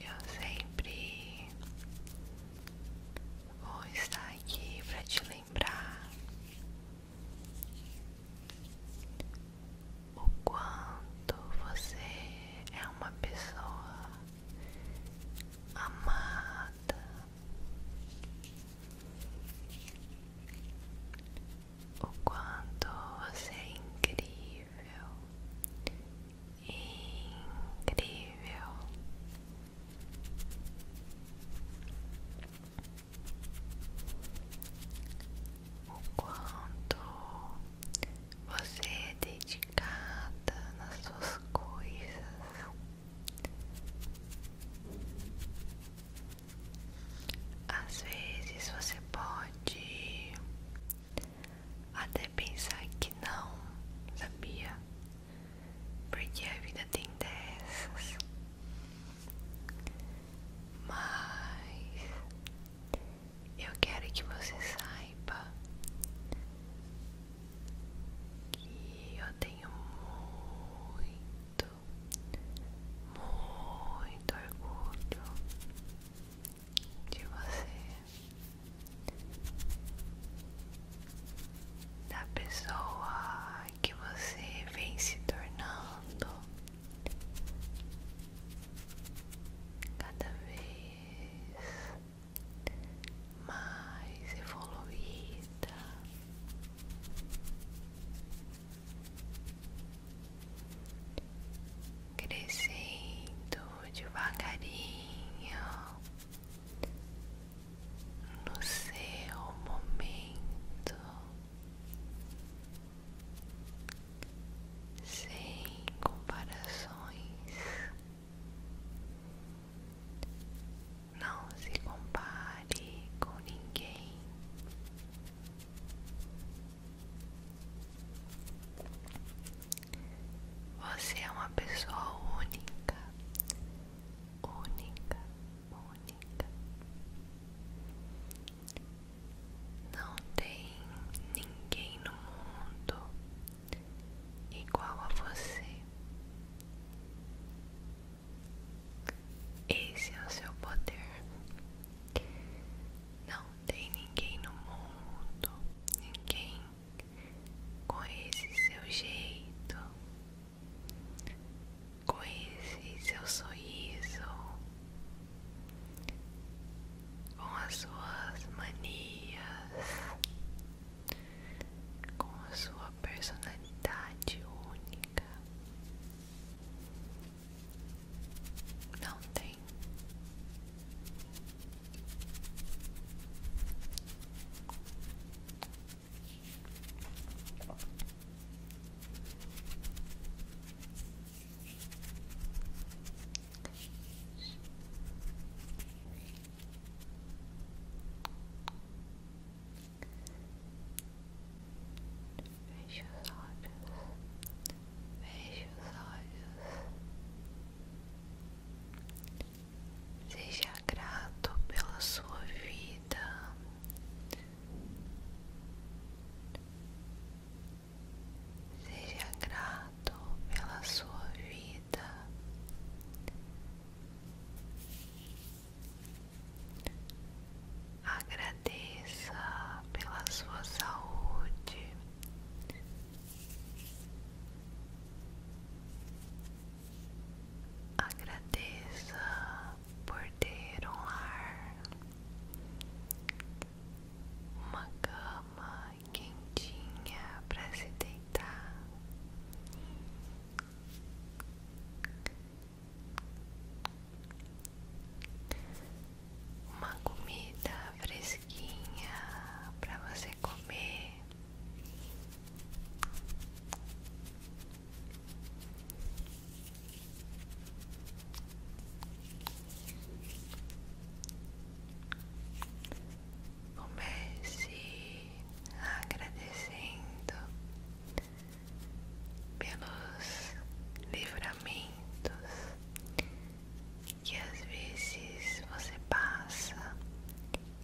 Eu sempre vou estar aqui para te lembrar o quanto você é uma pessoa amada, o quanto você é incrível, incrível o quanto você é dedicada nas suas coisas. Às vezes você pode até pensar que não, sabia? Porque a vida tem dessas. Mas eu quero que você saiba que eu tenho muito, muito orgulho de você, da pessoa que você vem se tornando cada vez mais evoluída. Crescendo devagarinho no seu momento sem comparações. Não se compare com ninguém. Você é uma pessoa única, única, única. Não tem ninguém no mundo igual a você. Esse é o seu poder. Não tem ninguém no mundo, ninguém com esse seu jeito, com esse seu sorriso, com as suas manias, com a sua personalidade única. Não tem. Feche os olhos, feche os olhos, seja grato pela sua vida. Seja grato pela sua vida. Agradeça pela sua saúde. Agradeça por ter um lar, uma cama cama quentinha para se deitar. Uma comida fresquinha para você comer. Comece agradecendo pelos livramentos que às vezes você passa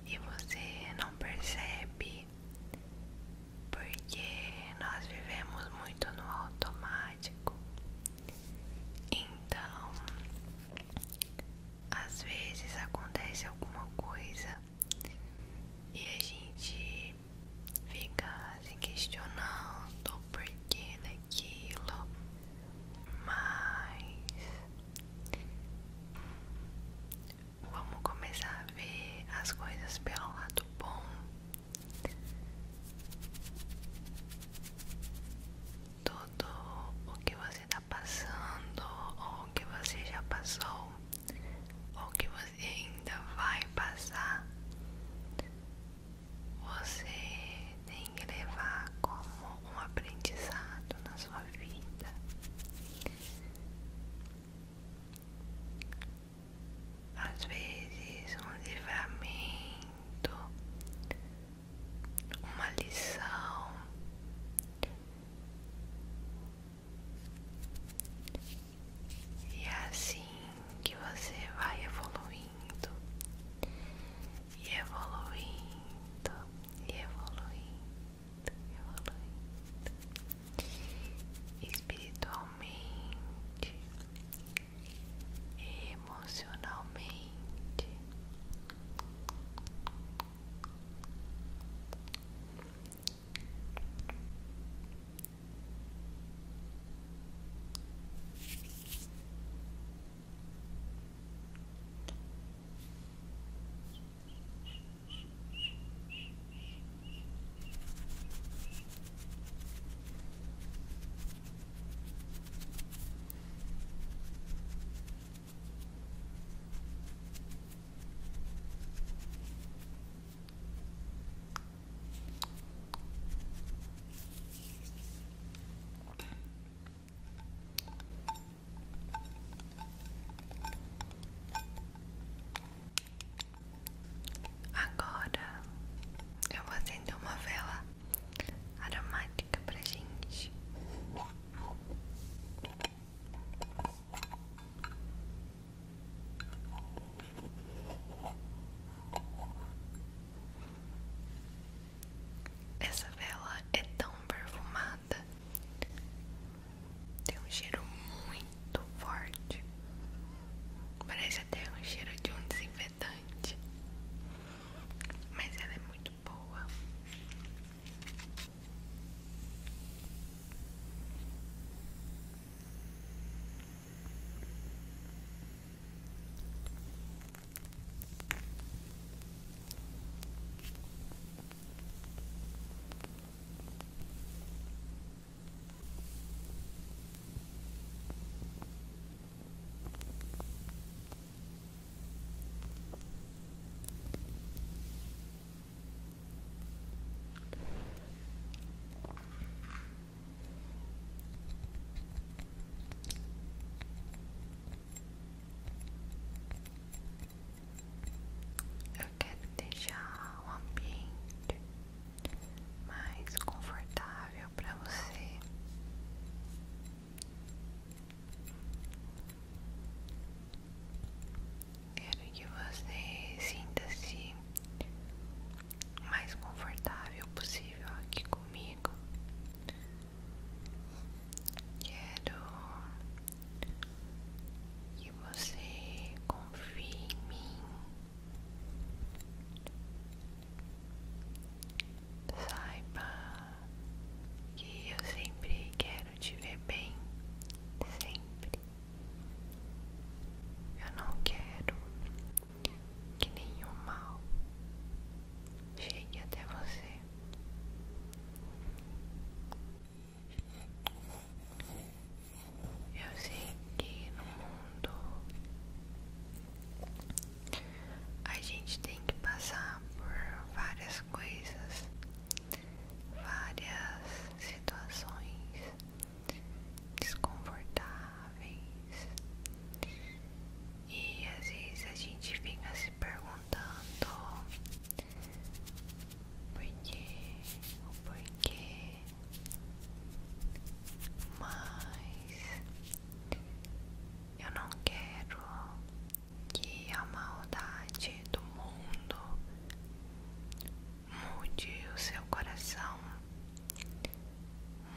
e você não percebe porque nós vivemos muito no automático então, às vezes acontece alguma coisa e a gente fica se questionando por que daquilo, mas vamos começar a ver as coisas pelo lado bom tudo o que você está passando, ou que você já passou, ou que você ainda vai passar, você tem que levar como um aprendizado na sua vida. Às vezes, um livramento uma lição e é assim que você vai evoluindo e evoluindo e evoluindo evoluindo espiritualmente emocionalmente. Agora eu vou acender uma vela aromática pra gente. Essa vela é tão perfumada, tem um cheiro muito forte, parece até um cheiro de um desinfetante refletante, mas ela é muito boa. Eu quero deixar o ambiente mais confortável para você Quero que você sinta-se mais confortável possível aqui comigo. Quero que você confie em mim. Saiba que eu sempre quero te ver bem, sempre. Eu não quero que nenhum mal chegue até você. Eu sei que no mundo a gente tem que passar por várias coisas, várias situações desconfortáveis e às vezes a gente fica se perguntando por que, por que, mas eu não quero que a maldade do mundo mude o seu coração,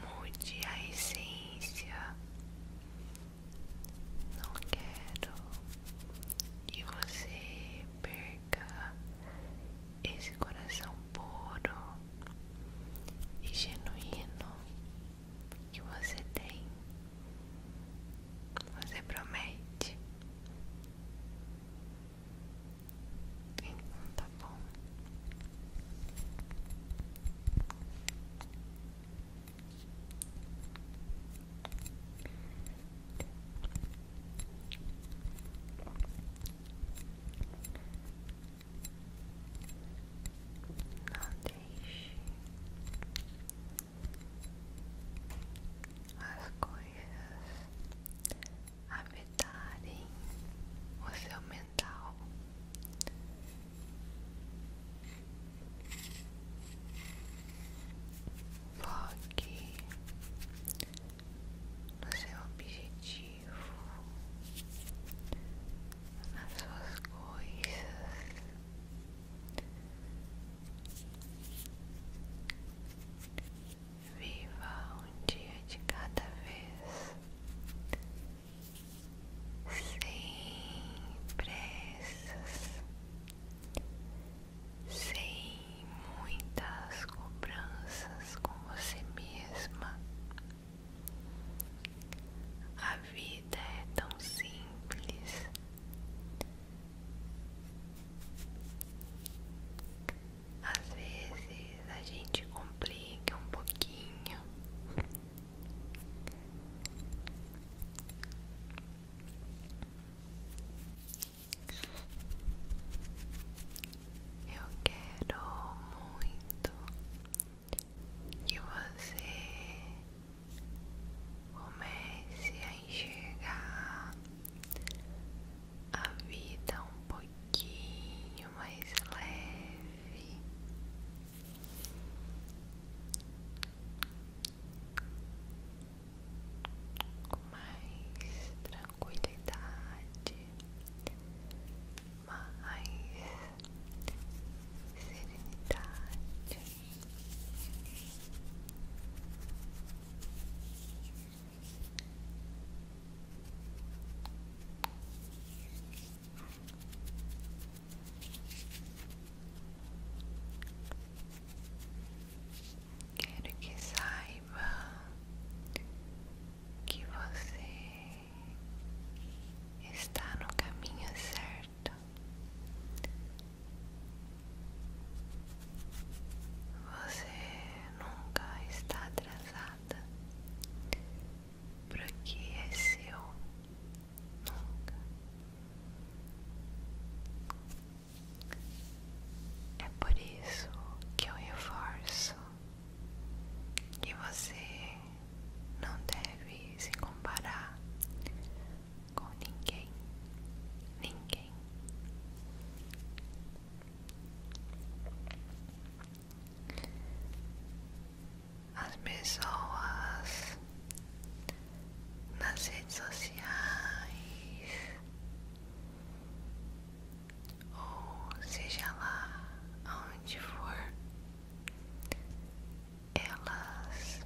mude a essência. Não quero que você perca esse coração puro e genuíno que você tem. Você promete? Então tá bom. Não deixe as coisas afetarem o seu mental. Foque no seu objetivo, as suas coisas. Viva um dia de cada vez, sem pressas, sem muitas cobranças com você mesma. A vida é tão simples. Às vezes a gente complica um pouquinho. Eu quero muito que você comece a enxergar a vida um pouquinho mais leve. Com mais tranquilidade, mais serenidade. Quero que saiba que você está no caminho certo. Você nunca está atrasada para o é seu, nunca. É por isso que eu reforço que você não deve se comparar com ninguém, ninguém. As pessoas nas redes sociais, ou seja lá aonde for, elas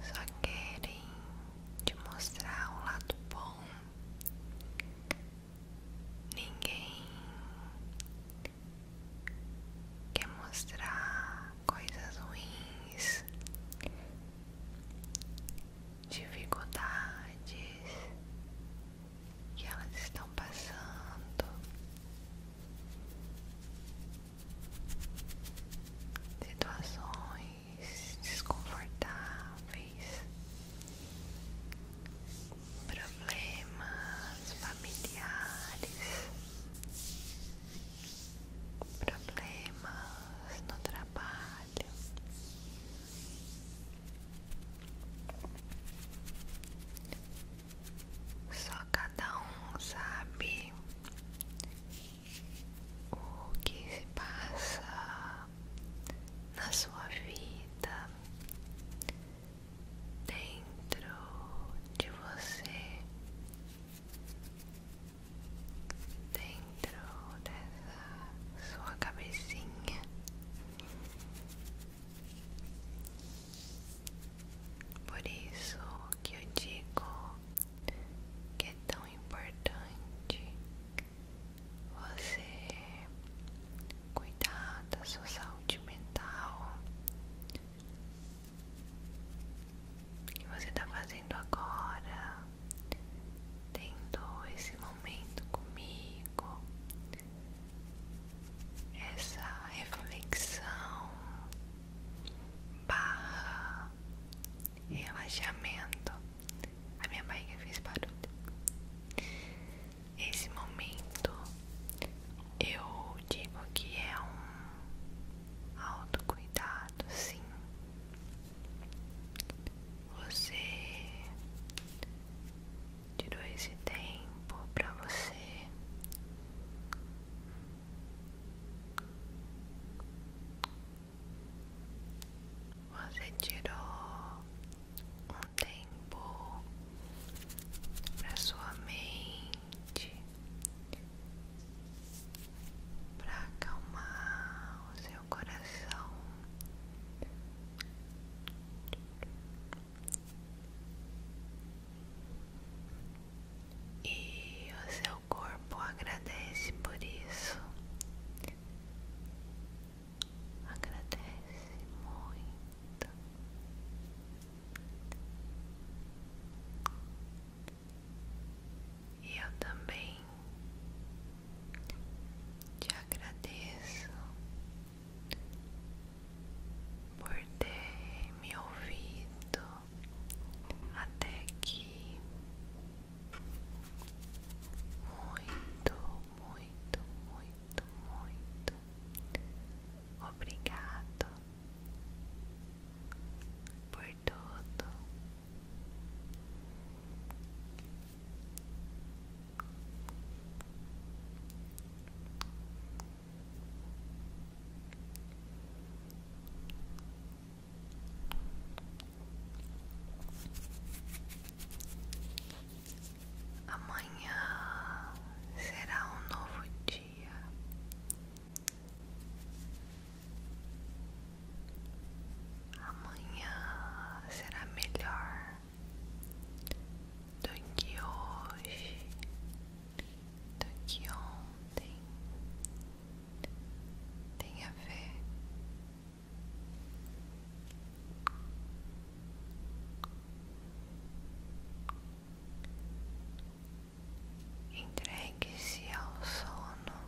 só querem te mostrar o um lado bom. Ninguém quer mostrar coisas ruins, dificuldades que elas estão passando situações desconfortáveis, problemas familiares, problemas no trabalho. Só cada um sabe o que se passa na sua vida dentro de você, dentro dessa sua cabecinha. Por isso que eu digo que é tão importante você cuidar da sua saúde mental que você está fazendo agora, tendo esse momento comigo, essa reflexão barra relaxamento. A minha barriga fez barulho. Esse momento eu digo que é um autocuidado, sim. Você tirou esse tempo pra você você tirou um tempo para sua mente para acalmar o seu coração e o seu corpo agradece por isso, agradece muito. E eu também te agradeço por ter me ouvido, até que muito, muito, muito, muito obrigado por tudo. Amanhã será um novo dia. Amanhã será melhor do que hoje do que ontem tem a ver entregue-se ao sono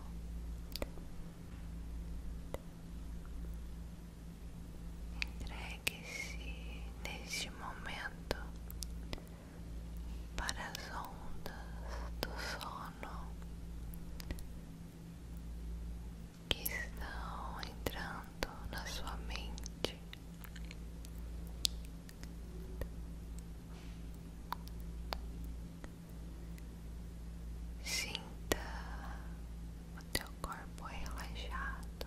entregue-se neste momento para as ondas do sono que estão entrando na sua mente. Sinta o teu corpo relaxado,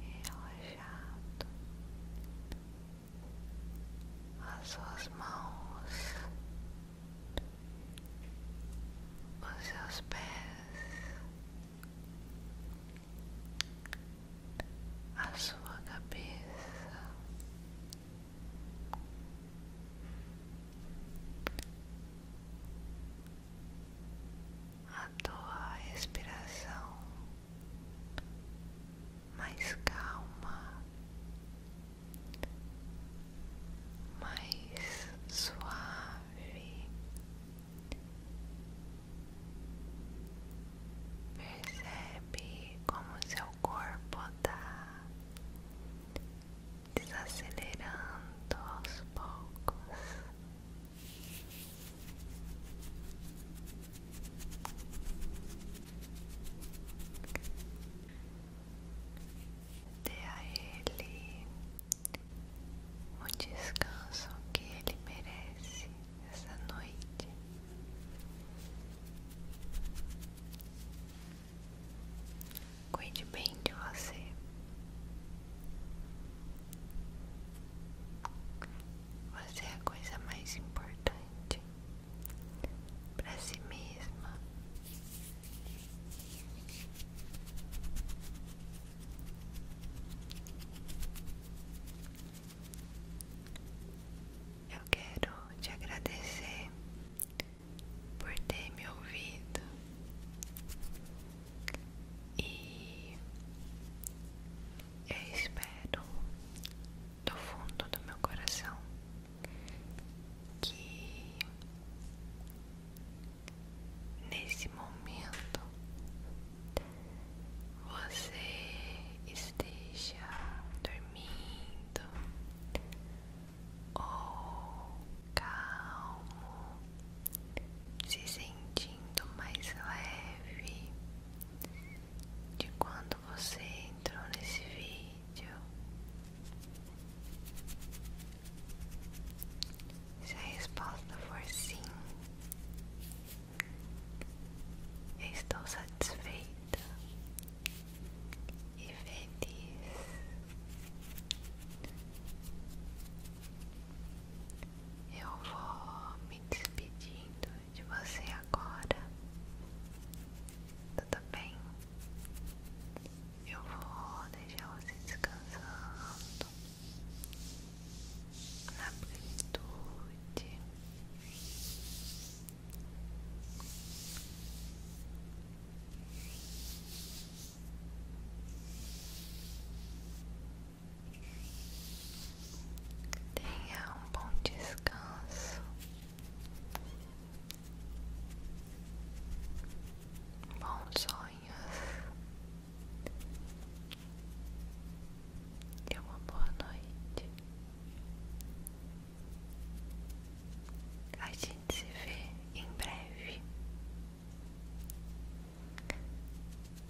relaxado, as suas mãos, os seus pés, a sua cabeça, a tua respiração mais calma, mais suave. Percebe como seu corpo está desacelerando aos poucos. Dê a ele um descanso que ele merece essa noite. Cuide bem de você. Você é a coisa mais importante para si mesma. Eu quero te agradecer por ter me ouvido e espero do fundo do meu coração que nesse momento você esteja dormindo ou calmo, se sentindo mais leve de quando você entrou nesse vídeo. Se a resposta for sim, estou satisfeita e feliz. Eu vou me despedindo de você agora. Tudo bem? Eu vou deixar você descansando na plenitude. Tenha um bom descanso. Bons sonhos. E uma boa noite. A gente se vê em breve.